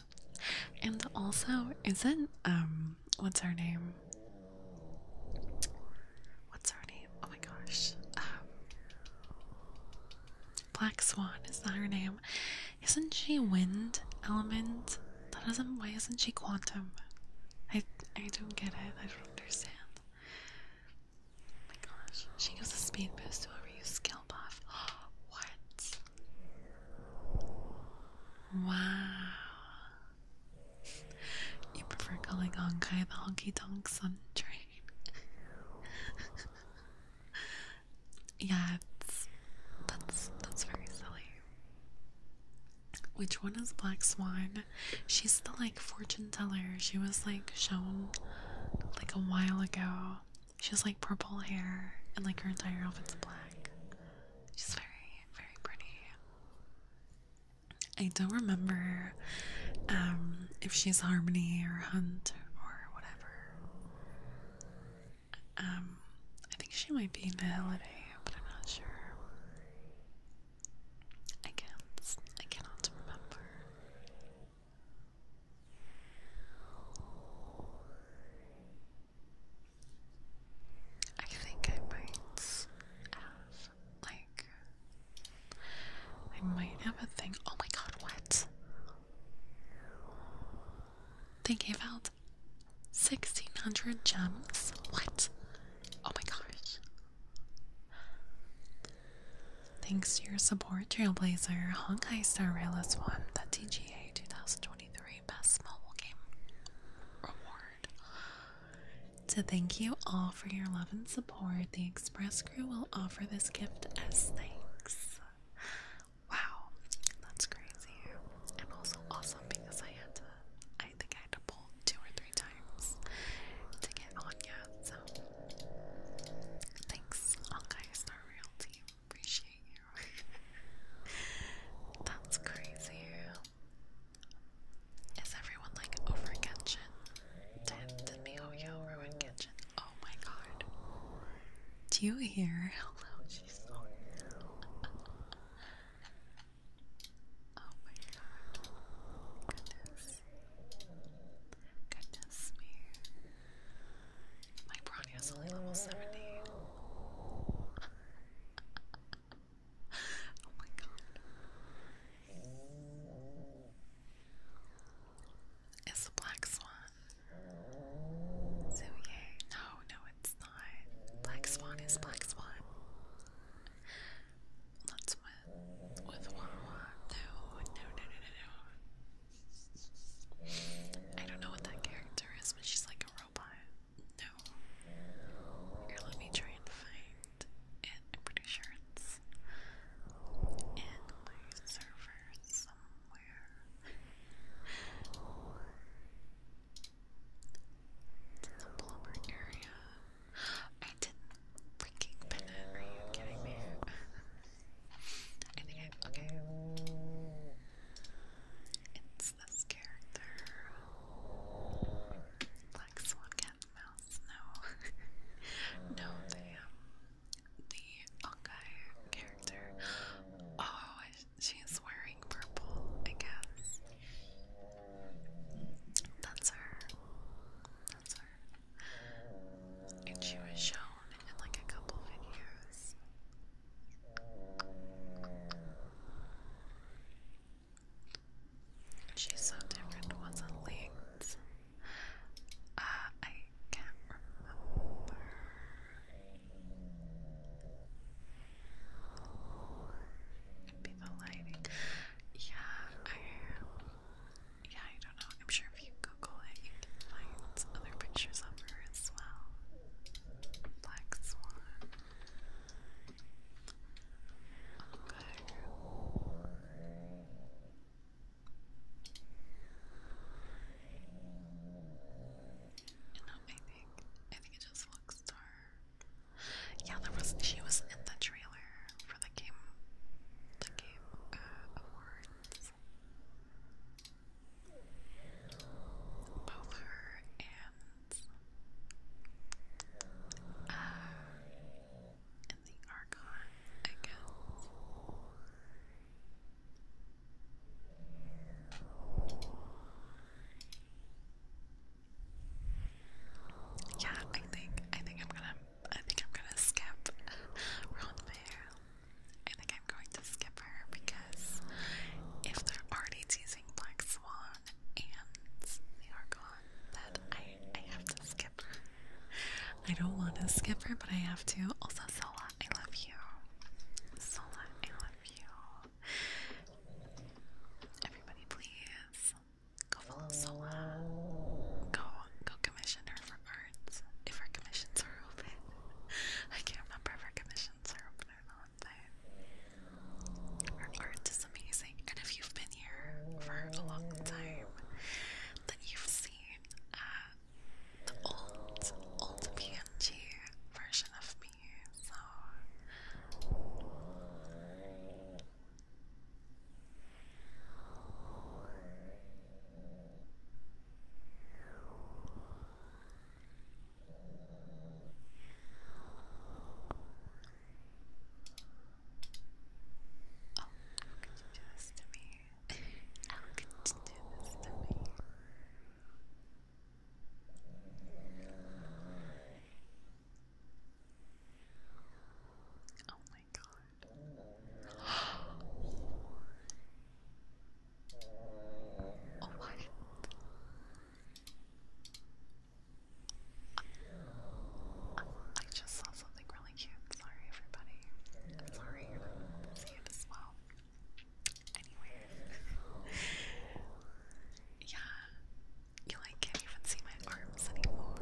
Speaker 3: And also, is it um what's her name? What's her name? Oh my gosh. Um, Black Swan, is that her name? Isn't she wind element? That doesn't why isn't she quantum? I I don't get it. I don't understand. Oh my gosh. She gives a speed boost to a use skill buff. what? Wow. You prefer calling Honkai the honky tonk sun train? yeah, that's that's very silly. Which one is Black Swan? She's the like fortune teller. She was like shown like a while ago. She has like purple hair and like her entire outfit's black. She's very very pretty. I don't remember um, if she's Harmony or Hunt or whatever. Um, I think she might be in Holiday, but I'm not sure. I can't. I cannot remember. I think I might have, like, I might have a thing. Oh my god, what? They gave out 1600 gems? What? Oh my gosh. Thanks to your support, Trailblazer, Honkai Star Rail is one the TGA 2023 best mobile game reward. To thank you all for your love and support, the Express crew will offer this gift as thanks. Wow, that's crazy. And also awesome because I had to I think I had to pull two or three times to get on So thanks all guys, our real team. Appreciate you. That's crazy. Is everyone like over Genshin? Did, did MiHoYo ruin Genshin? Oh my god. Do you hear how oh my god. Goodness. Goodness me. My Bronya's only level 70. oh my god. It's the black swan. So yay. No, no, it's not. Black swan is black swan. Let's with with Wawa. No, no, no, no, no, I don't know what that character is, but she's like a robot let me try and find
Speaker 2: it. I'm pretty sure it's in my server somewhere. It's in the plumber area. I didn't freaking pin it. Are you kidding me? I
Speaker 3: Okay this character? Like Swan Cat Mouse? No. no, the, um, the Ongai character. Oh, she's wearing purple, I guess. That's her. That's her. And she was shown in like a couple videos. She's so different, wasn't linked. Uh, I can't remember. be the lighting. Yeah, Yeah, I don't know. I'm sure if you Google it, you can find other pictures of her as well. Black swan. You I think I think it just looks dark. Yeah, there was she was in the trailer for the game the game uh, awards. Both her and uh, the Archon, I guess. Yeah, I think I think I'm gonna I think I'm gonna skip Ronfair. I think I'm going to skip her because if they're already teasing Black Swan, Archon and the Archon that I, I have to skip. I don't want to skip her, but I have to. Also, Sola, I love you. Sola, I love you. Everybody, please go follow Sola. Go, go commission her for arts if her commissions are open. I can't remember if her commissions are open or not but art is amazing. And if you've been here for a long time, then you've seen uh, the old, old PNG version of me. So. Oh, how could you do this to me? How could you do this to me? Oh my god. Oh, what? I just saw something really cute. Sorry, everybody. I'm sorry, I'm as well. Anyway, yeah, you like can't even see my arms anymore.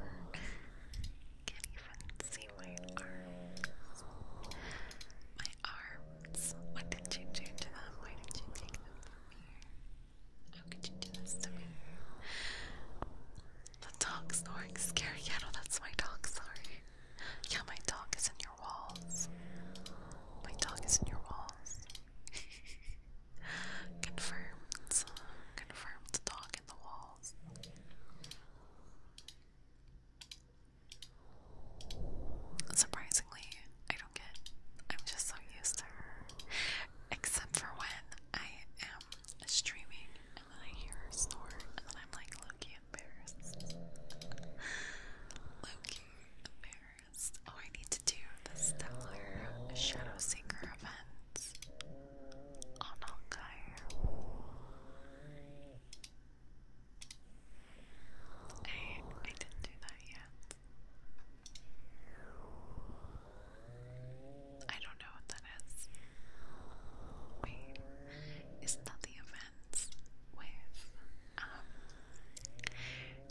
Speaker 3: Can't even see my arms. My arms. What did you do to them? Why did you take them from me? The dog snoring scary. Yeah, no, that's my dog, sorry. Yeah, my dog is in your walls. My dog is in your walls. Confirmed. Confirmed dog in the walls. Surprisingly, I don't get. I'm just so used to her. Except for when I am streaming and then I hear her snore and then I'm like Loki embarrassed. Loki embarrassed. Oh, I need to do the Stellar Shadow Seeker on Hawkeye. I, I didn't do that yet. I don't know what that is. Wait, isn't that the events with, um,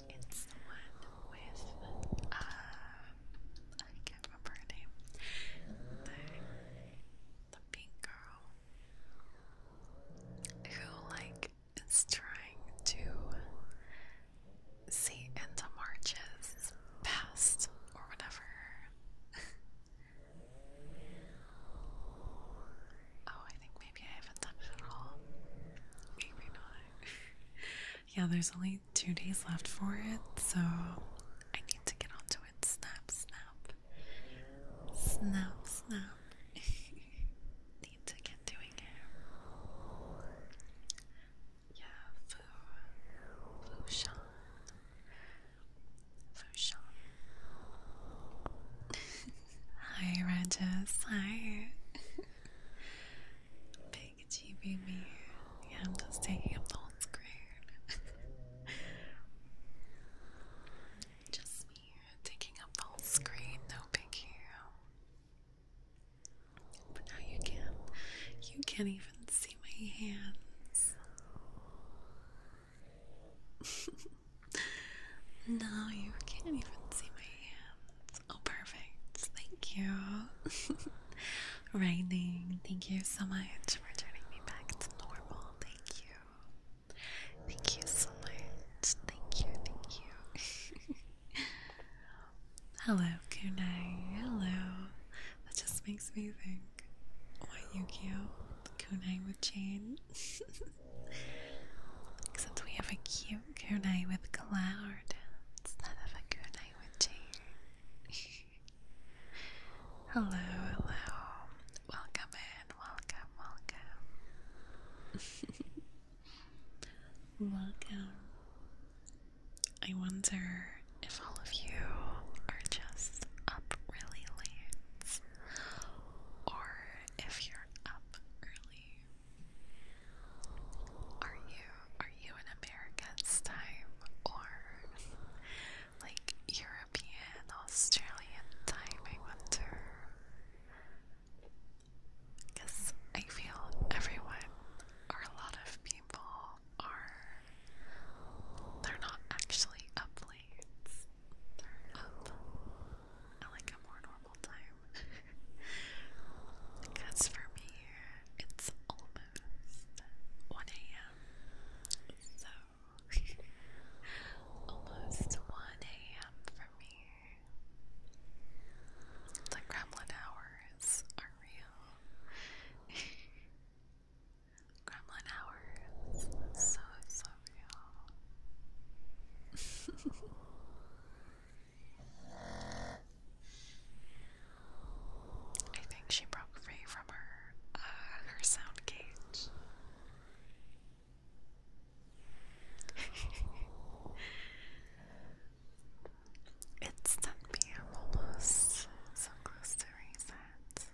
Speaker 3: it's the one with, uh, I can't remember her name, the, the pink girl who, like, is trying to see into March's past or whatever. oh, I think maybe I haven't done it at all. Maybe not. yeah, there's only two days left for it, so I need to get onto it. Snap, snap. Snap, snap. Need to get doing it yeah, Fu, Fushan, Fushan. Hi, Rajas. Hi. Big GBB. Yeah, I'm just taking up the whole screen. just me taking up the whole screen, no big hero. But now you can't you can't even see my hands. no, you can't even see my hands. Oh perfect. Thank you. Raining. thank you so much for turning me back to normal. Thank you. Thank you so much. Thank you, thank you. Hello, kunai. Hello. That just makes me think. Why Yukio? Kunai with chain. Except we have a cute kunai with cloud instead of a kunai with chain. hello, hello. Welcome in. Welcome, welcome. welcome. I wonder if all of you are just up really late or if you're up early. Are you are you in America's time or like European, Australian time, I wonder? Because I feel everyone, or a lot of people, are. They're not actually up late. They're up at like a more normal time. because for me, it's almost 1 a.m. So, almost 1 a.m. for me. It's like gremlin hour are real. Gremlin hours. So, so real. I think she broke free from her uh, her sound cage. It's 10 p.m. almost, so close to reset.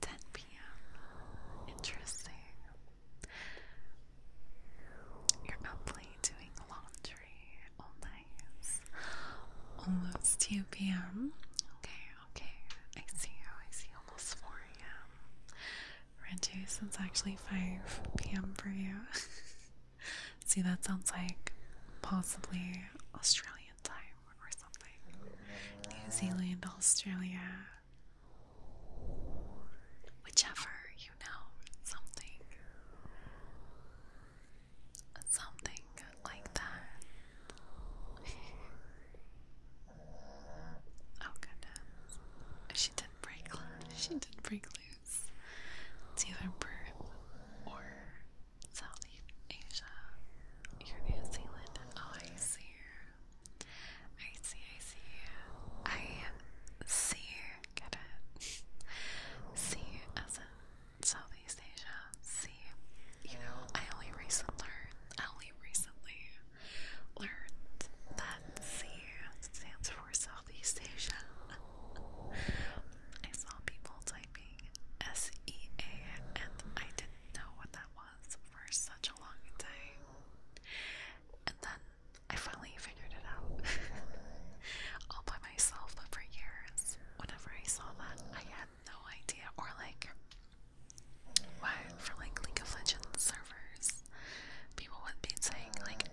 Speaker 3: 10 p.m. Interesting. You're up late doing laundry all night. Almost 2 p.m. Okay, okay. I see I see almost 4 a.m. Reduce, it's actually 5 p.m. for you. See, that sounds like possibly Australian time or something. New Zealand, Australia, whichever, you know, something. Something like that. oh goodness. She did break She did break loose countries to Europe or South Asia, New Zealand. Oh, I see. I see, I see. I see. Get it? See as in Southeast Asia. See. You know, I only recently learned, I only recently learned that C stands for Southeast Asia. I saw people S-E-A, and I didn't know what that was for such a long time. And then I finally figured it out all by myself, but for years, whenever I saw that, I had no idea, or like, why, for like League of Legends servers, people would be saying like,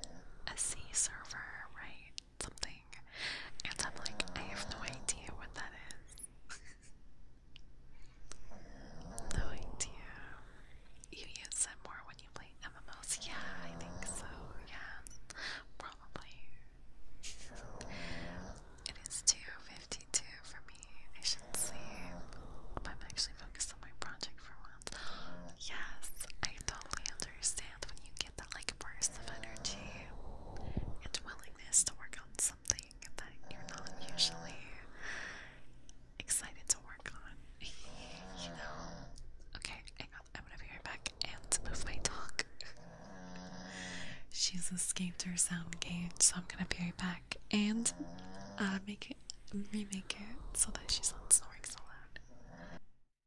Speaker 3: SC server, right? something, and I'm like, I have no idea what that is. no idea. You use it more when you play MMOs? Yeah, I think so. Yeah, probably. It is 2.52 for me. I should sleep. I'm actually focused on my project for once. Yes, I totally understand when you that like burst of energy and willingness to work on something that you're not usually excited to work on. you know? Okay, hang on. I'm gonna be right back and move my dog. She's escaped her sound cage, so I'm gonna be right back and uh, make it remake it so that she's not snoring so loud.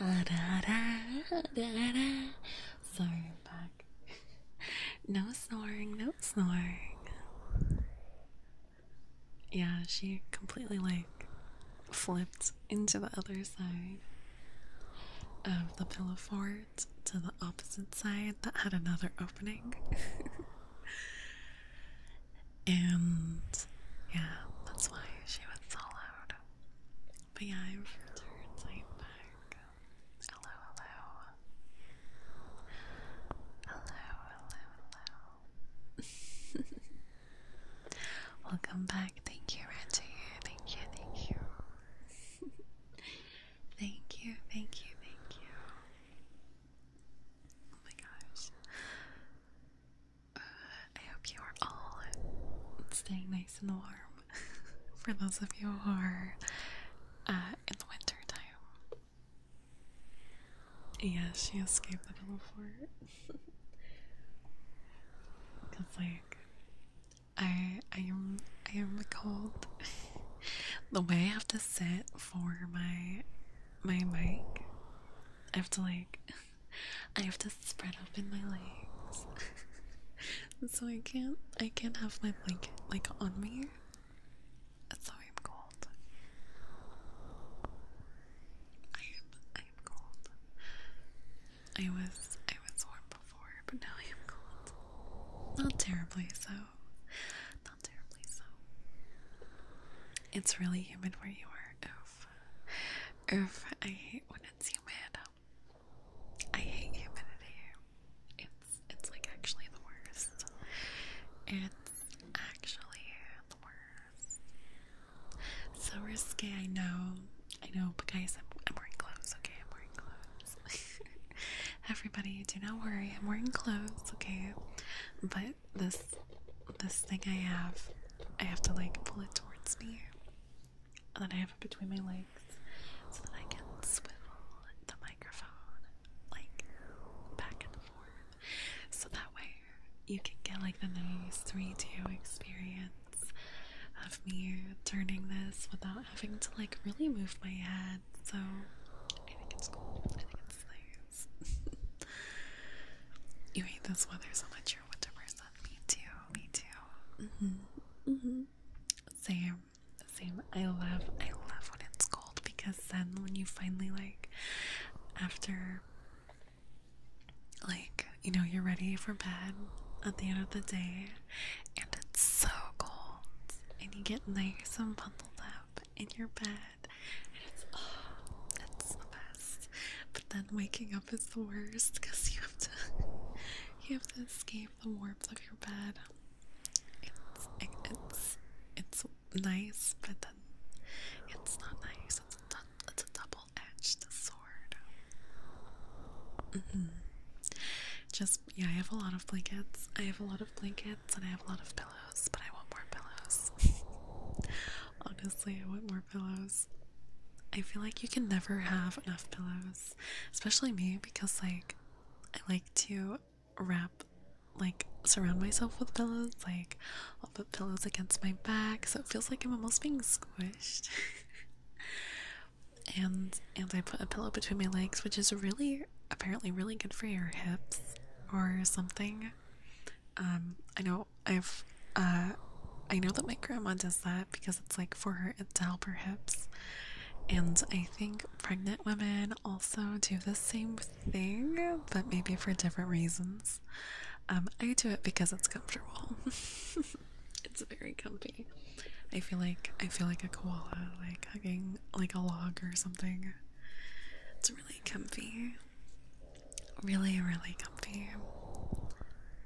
Speaker 3: ah, da, da, da, da. Sorry, no snoring, no snoring. Yeah, she completely like flipped into the other side of the pillow fort to the opposite side that had another opening. and yeah, that's why she was so loud. But yeah, I've turned side back. Hello, hello. Hello, hello, hello. Welcome back. Thank you, Reggie. Thank you, thank you. thank you, thank you, thank you. Oh my gosh. Uh, I hope you are all staying nice and warm. for those of you who are uh, in the winter time. Yeah, she escaped the little fort. Cause like I I am I am cold. the way I have to sit for my my mic, I have to like I have to spread open my legs so I can't I can't have my blanket like on me. That's why I'm cold. I am I am cold. I was I was warm before, but now I am cold. Not terribly so. Not terribly so. It's really humid where you are, oof. Oof, I hate when it's humid. I hate humidity. It's it's like actually the worst. It's actually the worst. So risky, I know. I know, but guys, I'm, I'm wearing clothes, okay? I'm wearing clothes. Everybody, do not worry. I'm wearing clothes, okay? But this this thing I have, I have to like pull it towards me. And then I have it between my legs so that I can swivel the microphone like back and forth. So that way you can get like the nice 3 D experience of me turning this without having to like really move my head. So I think it's cool. I think it's nice. you hate this weather so much, you're a winter person. Me too. Me too. Mm-hmm. Mm-hmm. Same. Same, I love, I love when it's cold because then when you finally like, after, like you know, you're ready for bed at the end of the day, and it's so cold, and you get nice and bundled up in your bed, and it's oh, that's the best. But then waking up is the worst because you have to, you have to escape the warmth of your bed. It's it's it's nice, but then it's not nice. It's a, it's a double-edged sword. Mm-hmm. Just yeah, I have a lot of blankets. I have a lot of blankets, and I have a lot of pillows. But I want more pillows. Honestly, I want more pillows. I feel like you can never have enough pillows, especially me because like I like to wrap like surround myself with pillows like I'll put pillows against my back so it feels like I'm almost being squished and and I put a pillow between my legs which is really apparently really good for your hips or something um I know I've uh I know that my grandma does that because it's like for her down hips, And I think pregnant women also do the same thing, but maybe for different reasons. Um, I do it because it's comfortable. it's very comfy. I feel like I feel like a koala, like hugging like a log or something. It's really comfy. Really, really comfy.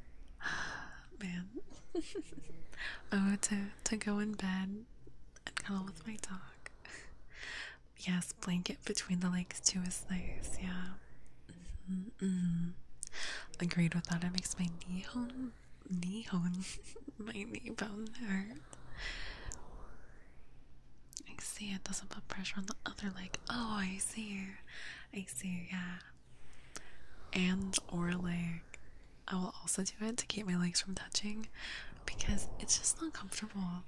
Speaker 3: Man. oh, to to go in bed and cuddle with my dog. yes, blanket between the legs too is nice. Yeah. Mm-hmm. Agreed with that. It makes my knee hone, knee hone, my knee bone there. I see it doesn't put pressure on the other leg. Oh, I see. I see. Yeah. And or leg. I will also do it to keep my legs from touching because it's just not comfortable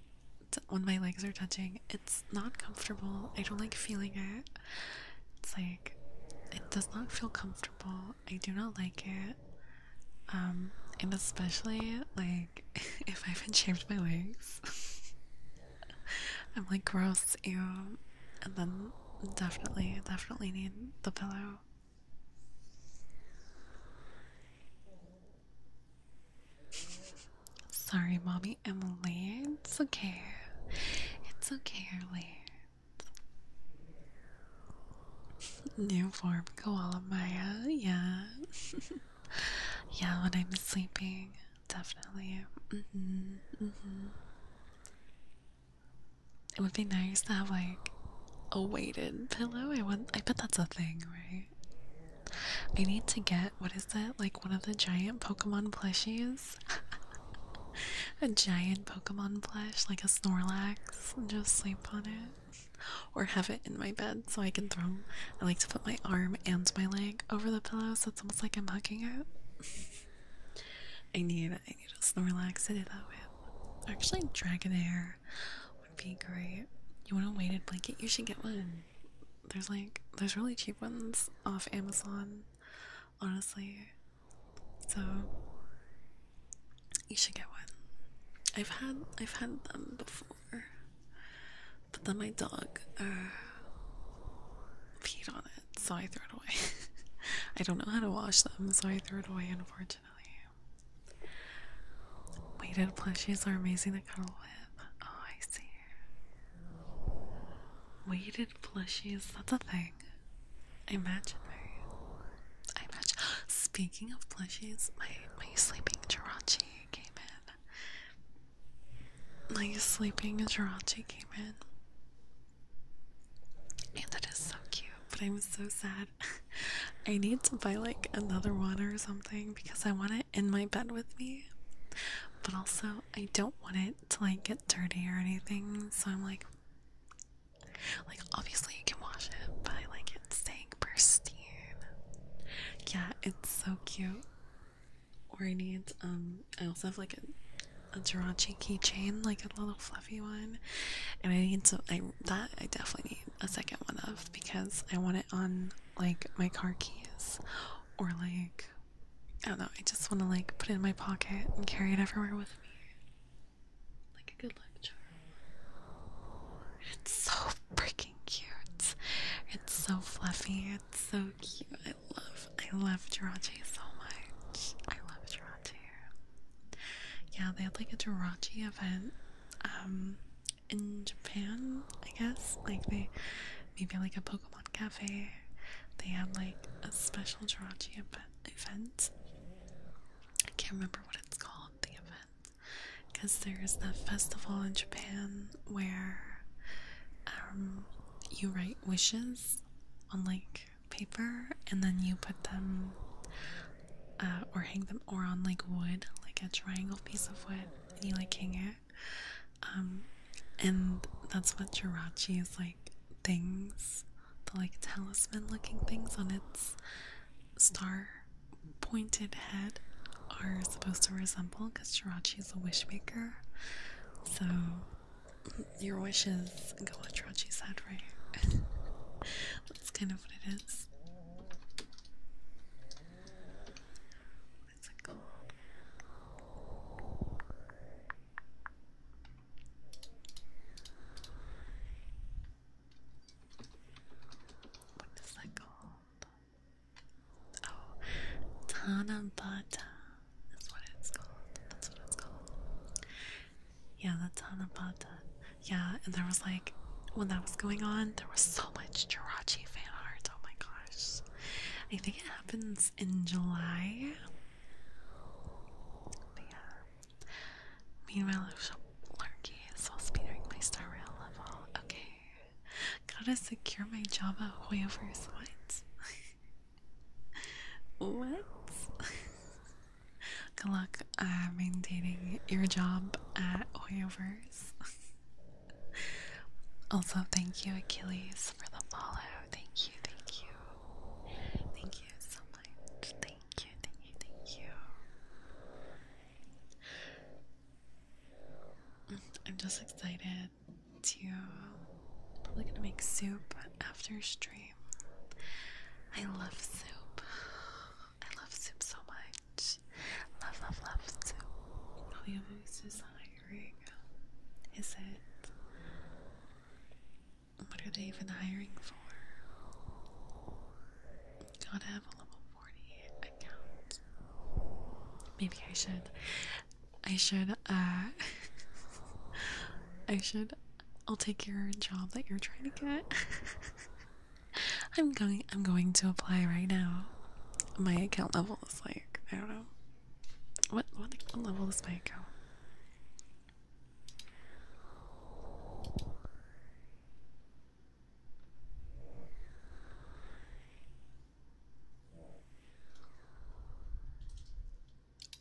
Speaker 3: when my legs are touching. It's not comfortable. I don't like feeling it. It's like it does not feel comfortable. I do not like it. Um, and especially like if I have been shaved my legs, I'm like gross, ew. And then definitely, definitely need the pillow. Sorry, mommy Emily. It's okay. It's okay, Emily. New form koala Maya. Uh, yeah. yeah, when I'm sleeping. Definitely. Mm-hmm, mm-hmm. It would be nice to have like a weighted pillow. I want. I bet that's a thing, right? I need to get what is it Like one of the giant Pokemon plushies. a giant Pokemon plush, like a Snorlax, and just sleep on it. Or have it in my bed so I can throw. I like to put my arm and my leg over the pillow so it's almost like I'm hugging it. I need I need a Snorlax to do that with. Actually, Dragonair would be great. You want a weighted blanket? You should get one. There's like there's really cheap ones off Amazon, honestly. So you should get one. I've had I've had them before, but then my dog uh, peed on it, so I threw it away. I don't know how to wash them, so I threw it away. In a Unfortunately, unfortunately. Weighted plushies are amazing kind of with. Oh, I see. Weighted plushies, that's a thing. imagine right? I imagine speaking of plushies, my my sleeping Jirachi came in. My sleeping Jirachi came in. And that is so cute, but I'm so sad I need to buy like another one or something because I want it in my bed with me. But also, I don't want it to like get dirty or anything. So I'm like, like obviously you can wash it, but like it's staying pristine. Yeah, it's so cute. Or I need um, I also have like a a Jirachi keychain, like a little flower one, and I need to I that I definitely need a second one of because I want it on like my car keys or like I don't know. I just want to like put it in my pocket and carry it everywhere with me, like a good luck charm. It's so freaking cute. It's so fluffy. It's so cute. I love I love Jirachi so much. I love Jirachi. Yeah, they had like a Jirachi event um, in Japan, I guess. Like they maybe like a Pokemon cafe. They have like a special Jirachi event. I can't remember what it's called, the event. Because there's that festival in Japan where um, you write wishes on like paper and then you put them uh, or hang them or on like wood, like a triangle piece of wood, and you like hang it. Um, and that's what Jirachi is like things, the like talisman looking things on its star pointed head are supposed to resemble because Jirachi is a wish maker. So your wishes go on Jirachi's head, right? that's kind of what it is this. What's it called? Oh. What is that called? Oh, Tanabata is what it's called. That's what it's called. Yeah, the Tanabata. Yeah, and there was like when that was going on, there was so much Jirachi fan art. Oh my gosh. I think it happens in July. But yeah. Meanwhile, Larky is supposed to be doing my Star Rail level. Okay. Gotta secure my Java Hoyoverse. What? what? Good luck uh, maintaining your job at Hoyoverse. also, thank you, Achilles, for the follow. Thank you, thank you. Thank you so much. Thank you, thank you, thank you. I'm just excited to probably gonna make soup after stream. I love soup. I love soup so much. Love, love, love soup. William's hiring. Is it? What are they even hiring for? Gotta have a level 40 account. Maybe I should. I should, uh, I should. I'll take your job that you're trying to get. I'm going I'm going to apply right now. My account level is like I don't know. What what, level is my account?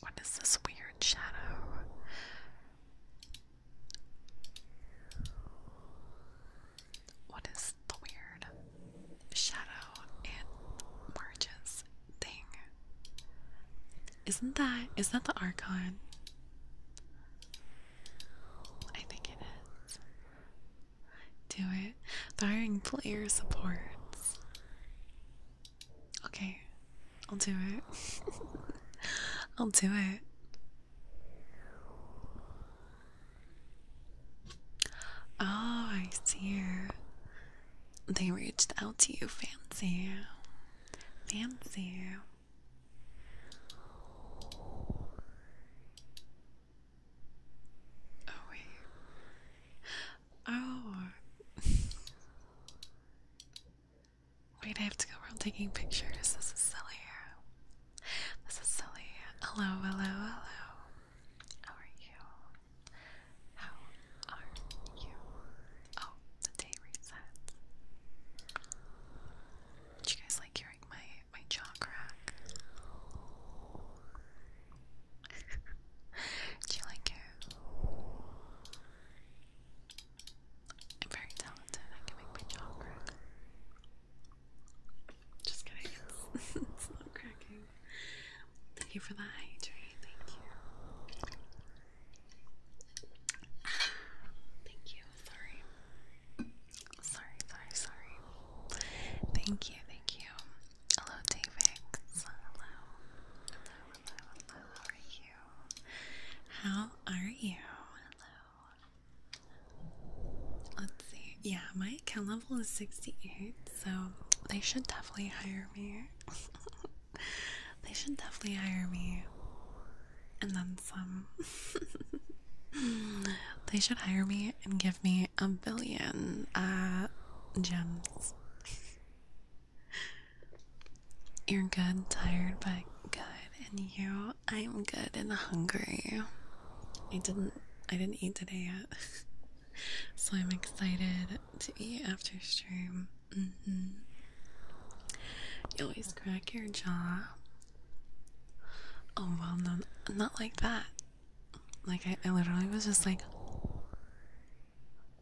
Speaker 3: What is this weird shadow? What is the weird shadow and marches thing? Isn't that is that the Archon? I think it is. Do it. The hiring player supports. Okay, I'll do it. I'll do it. Oh, I see. They reached out to you, fancy. Fancy. Oh, wait. Oh. Wait, I have to go around taking pictures. This is silly. This is silly. Hello, hello, hello. How are you? How are you? Oh, the day resets. Do you guys like hearing my my jaw crack? Do you like it? I'm very talented. I can make my jaw crack. Just kidding. It's, it's a cracking. Thank you for the hydrate. Thank you. Thank you. Sorry. Sorry, sorry, sorry. Thank you, thank you. Hello, David. Hello. Hello, hello, hello. How are you? How are you? Let's see. Yeah, my account level is 68, so they should definitely hire me. they should definitely hire me. And then some. they should hire me and give me a billion uh, gems. You're good, tired, but good. And you I'm good and hungry. I didn't I didn't eat today yet. so I'm excited to eat after stream. Mm-hmm. You always crack your jaw. Oh well no not like that. Like I literally was just like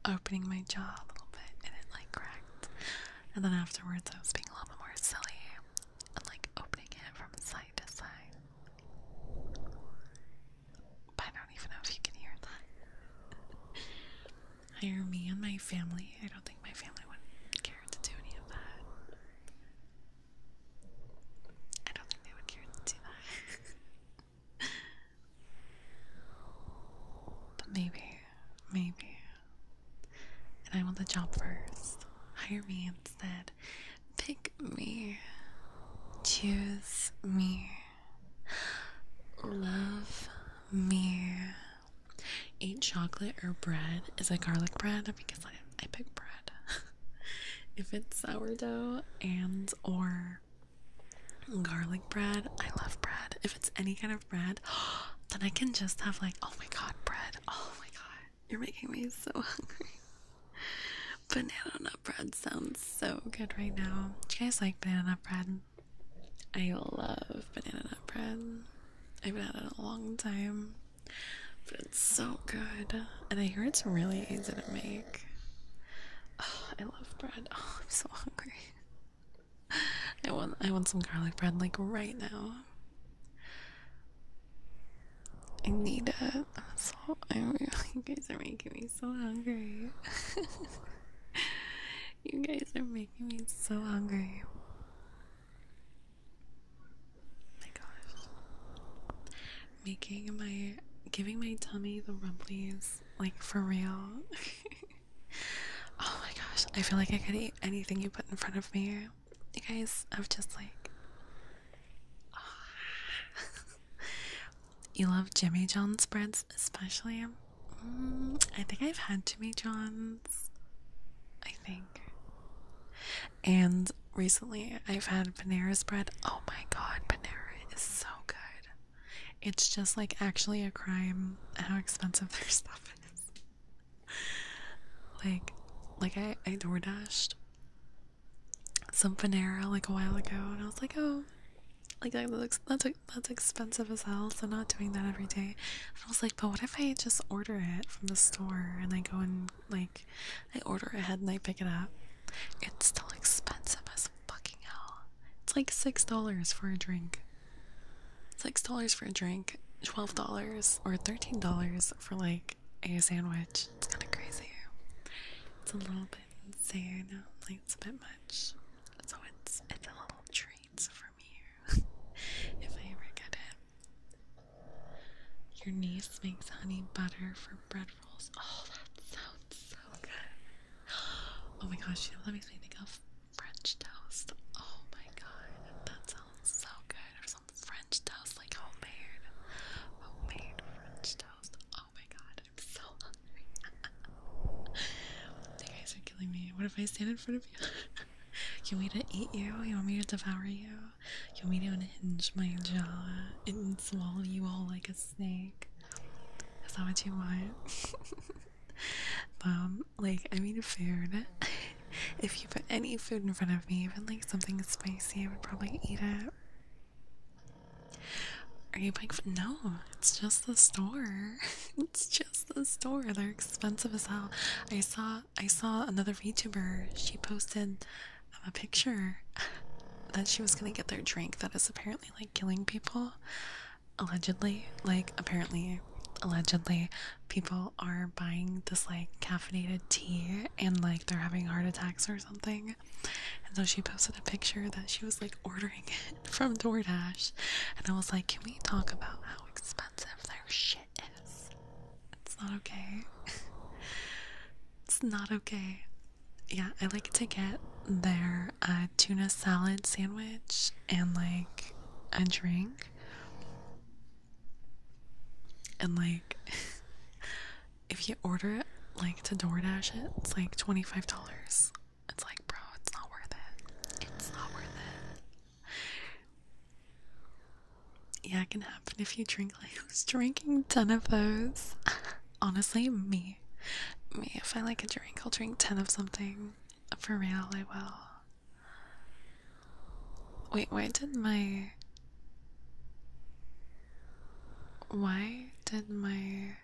Speaker 3: opening my jaw a little bit and it like cracked. And then afterwards I was being a little bit more silly and like opening it from side to side. But I don't even know if you can hear that. Hire me and my family. I don't think my family would care to do any of that. I don't think they would care to do that. but maybe, maybe and I want the job first. Hire me instead. Pick me. Choose me. Love me. Eat chocolate or bread. Is it garlic bread? Because I, I pick bread. if it's sourdough and or garlic bread, I love bread. If it's any kind of bread, then I can just have like, oh my god, bread. Oh my god. You're making me so hungry. Banana nut bread sounds so good right now. Do you guys like banana bread? I love banana nut bread. I've been had it a long time, but it's so good. And I hear it's really easy to make. Oh, I love bread. Oh, I'm so hungry. I want I want some garlic bread like right now. I need it. So, I'm, you guys are making me so hungry. you guys are making me so hungry. Oh my gosh. Making my. giving my tummy the rumblies, like for real. oh my gosh. I feel like I could eat anything you put in front of me you guys, I'm just like, ah. you love Jimmy John's breads, especially. Mm, I think I've had Jimmy John's. I think. And recently, I've had Panera's bread. Oh my god, Panera is so good. It's just like actually a crime how expensive their stuff is. like, like I, I door dashed some Panera like a while ago, and I was like, oh, like that looks that's that's expensive as hell. So not doing that every day. I was like, but what if I just order it from the store and I go and like I order ahead and I pick it up? It's still expensive as fucking hell. It's like six dollars for a drink. Six dollars for a drink. $12 or $13 for like a sandwich. It's kind of crazy. It's a little bit insane. Like it's a bit much. So it's it's a little treat from here. if I ever get it. Your niece makes honey butter for bread rolls. Oh, that sounds so good. Oh my gosh, you know that makes me think of French toast. Oh my god, that sounds so good. French toast, like homemade, homemade French toast. Oh my god, I'm so hungry. you guys are killing me. What if I stand in front of you? you want me to eat you? You want me to devour you? You want me to unhinge my jaw and swallow you all like a snake? Is that what you want? um, like, I mean, food. if you put any food in front of me, even like something spicy, I would probably eat it. Are you like No, it's just the store. it's just the store. They're expensive as hell. I saw I saw another VTuber. She posted um, a picture that she was gonna get their drink that is apparently like killing people. Allegedly, like apparently, allegedly, people are buying this like caffeinated tea and like they're having heart attacks or something. And so she posted a picture that she was like ordering it from DoorDash. And I was like, can we talk about how expensive their shit is? It's not okay. it's not okay. Yeah, I like to get their uh, tuna salad sandwich and like a drink. And like, if you order it like to DoorDash it, it's like twenty five dollars. It's like, bro, it's not worth it. It's not worth it. Yeah, it can happen if you drink like who's drinking ten of those. Honestly, me. Me, if I like a drink, I'll drink ten of something. For real, I will. Wait, why did my. Why did my.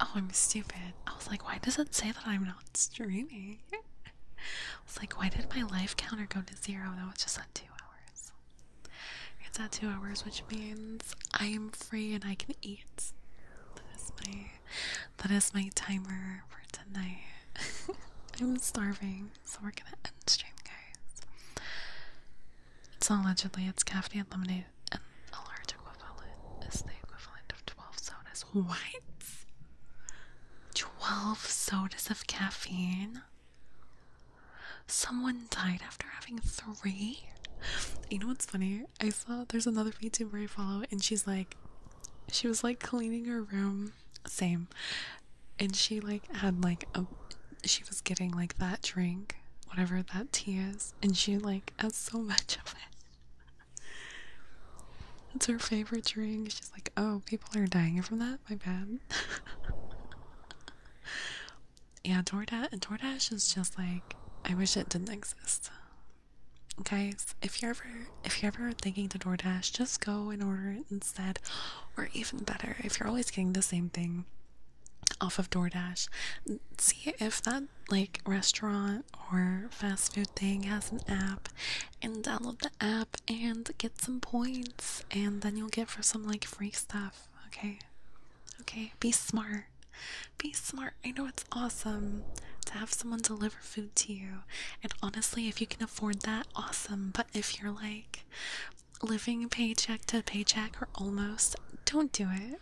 Speaker 3: Oh, I'm stupid. I was like, why does it say that I'm not streaming? I was like, why did my life counter go to zero? That was just at two hours. It's at two hours, which means I am free and I can eat. That is my that is my timer for tonight. I'm starving, so we're gonna end stream, guys. It's allegedly it's caffeinated lemonade, and a large equivalent is the equivalent of 12 sodas. What? 12 sodas of caffeine? Someone died after having three? You know what's funny? I saw there's another VTuber I follow, and she's like, she was like cleaning her room. Same and she like had like a she was getting like that drink whatever that tea is and she like has so much of it it's her favorite drink she's like oh people are dying from that my bad yeah DoorDash and DoorDash is just like I wish it didn't exist guys if you're ever if you're ever thinking to DoorDash just go and order it and instead, or even better, if you're always getting the same thing off of DoorDash, see if that like restaurant or fast food thing has an app and download the app and get some points and then you'll get for some like free stuff. Okay. Okay, be smart. Be smart. I know it's awesome to have someone deliver food to you. And honestly, if you can afford that, awesome. But if you're like living paycheck to paycheck or almost. Don't do it.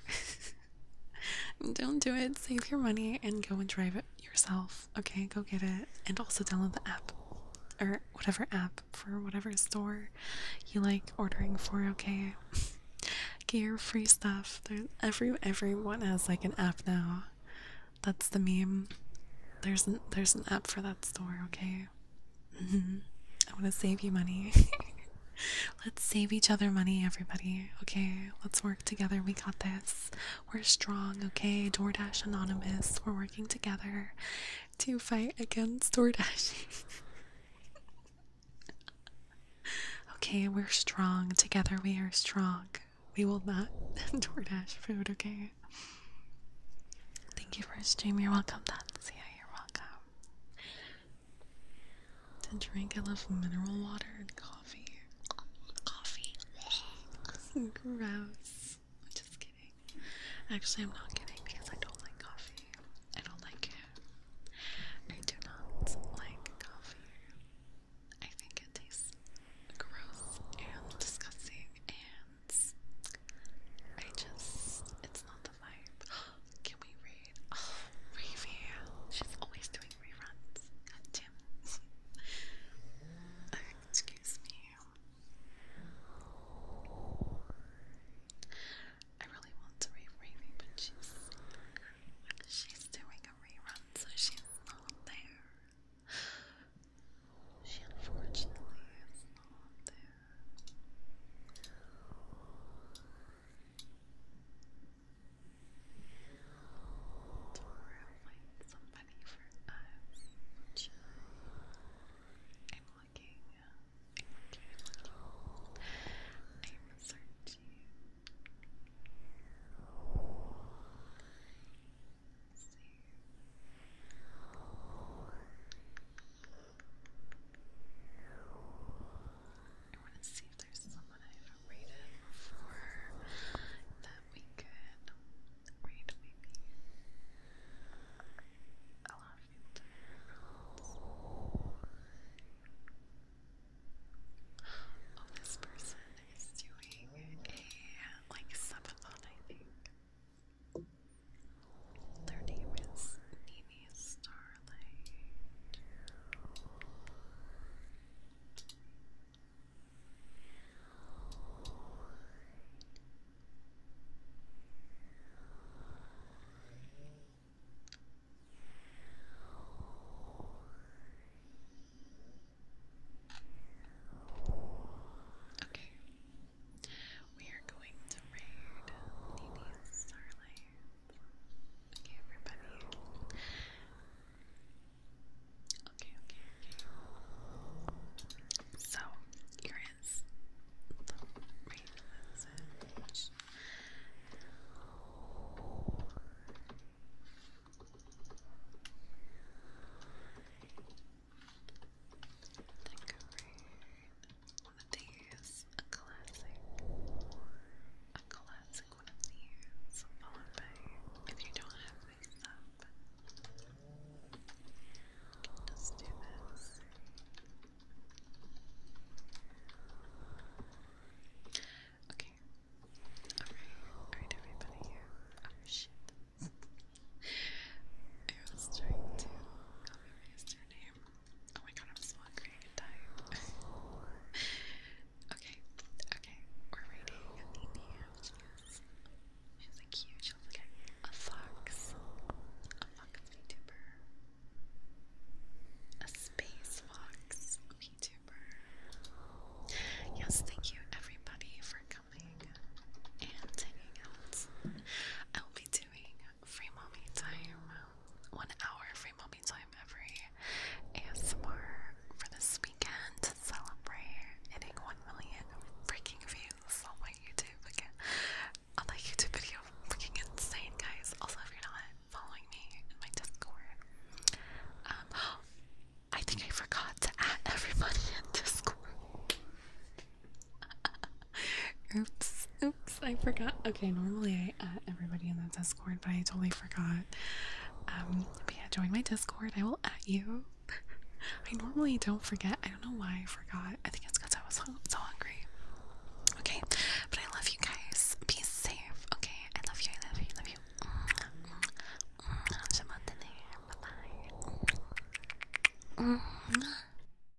Speaker 3: Don't do it. Save your money and go and drive it yourself. Okay, go get it. And also download the app or whatever app for whatever store you like ordering for, okay? Get your free stuff. There's every everyone has like an app now. That's the meme. There's an, there's an app for that store, okay? Mm-hmm. I want to save you money. Let's save each other money, everybody. Okay, let's work together. We got this. We're strong, okay? DoorDash Anonymous. We're working together to fight against DoorDash. okay, we're strong. Together we are strong. We will not DoorDash food, okay? Thank you for a stream. You're welcome, Tatsia. You're welcome. To drink, a little mineral water and coffee. Coffee. Gross. I'm just kidding. Actually, I'm not kidding because I don't like coffee. I don't like it. I do not like coffee. I think it tastes
Speaker 1: gross and disgusting and I just, it's not the vibe. Can we read? Oh, She's always doing reruns. God excuse me. I really want to read Ravy, but she's, she's doing a rerun, so she's not there. She unfortunately is not there. Tomorrow find somebody for us, I'm
Speaker 3: looking, I'm looking, i I want to see if there's someone I haven't before that we could read maybe. Oh, this person is doing a like subathon, I think. Their name is Nini Starlight. Okay. We are going to raid Nini's Starlight. Okay, everybody. Okay, okay, okay. So, here is the raid message. Then these, classic, classic one of these, if you don't have these up, just do this. Okay. alright everybody here. Oh shit. I was trying to copy paste her name. Oh my god, I'm so hungry, I can okay, okay, we're reading the Beetlejuice. She's like huge, a fox, a fox VTuber, a space fox VTuber. Yes, thank you everybody for coming and hanging out. I will be doing free mommy time, one hour free mommy time every ASMR for this weekend to celebrate hitting 1 million freaking views on my YouTube again. On that YouTube video, looking insane, guys. Also, if you're not following me in my Discord, um, I think I forgot to add everybody into Discord oops, oops, I forgot. Okay, normally I uh, add everybody in the Discord, but I totally forgot. Um, but yeah, join my Discord. I will at you. I normally don't forget. I don't know why I forgot. I think it's because I was so hungry. Okay, but I love you guys. Be safe. Okay, I love you. I love you. I love you.
Speaker 2: Mm-hmm. Mm-hmm. Mm-hmm.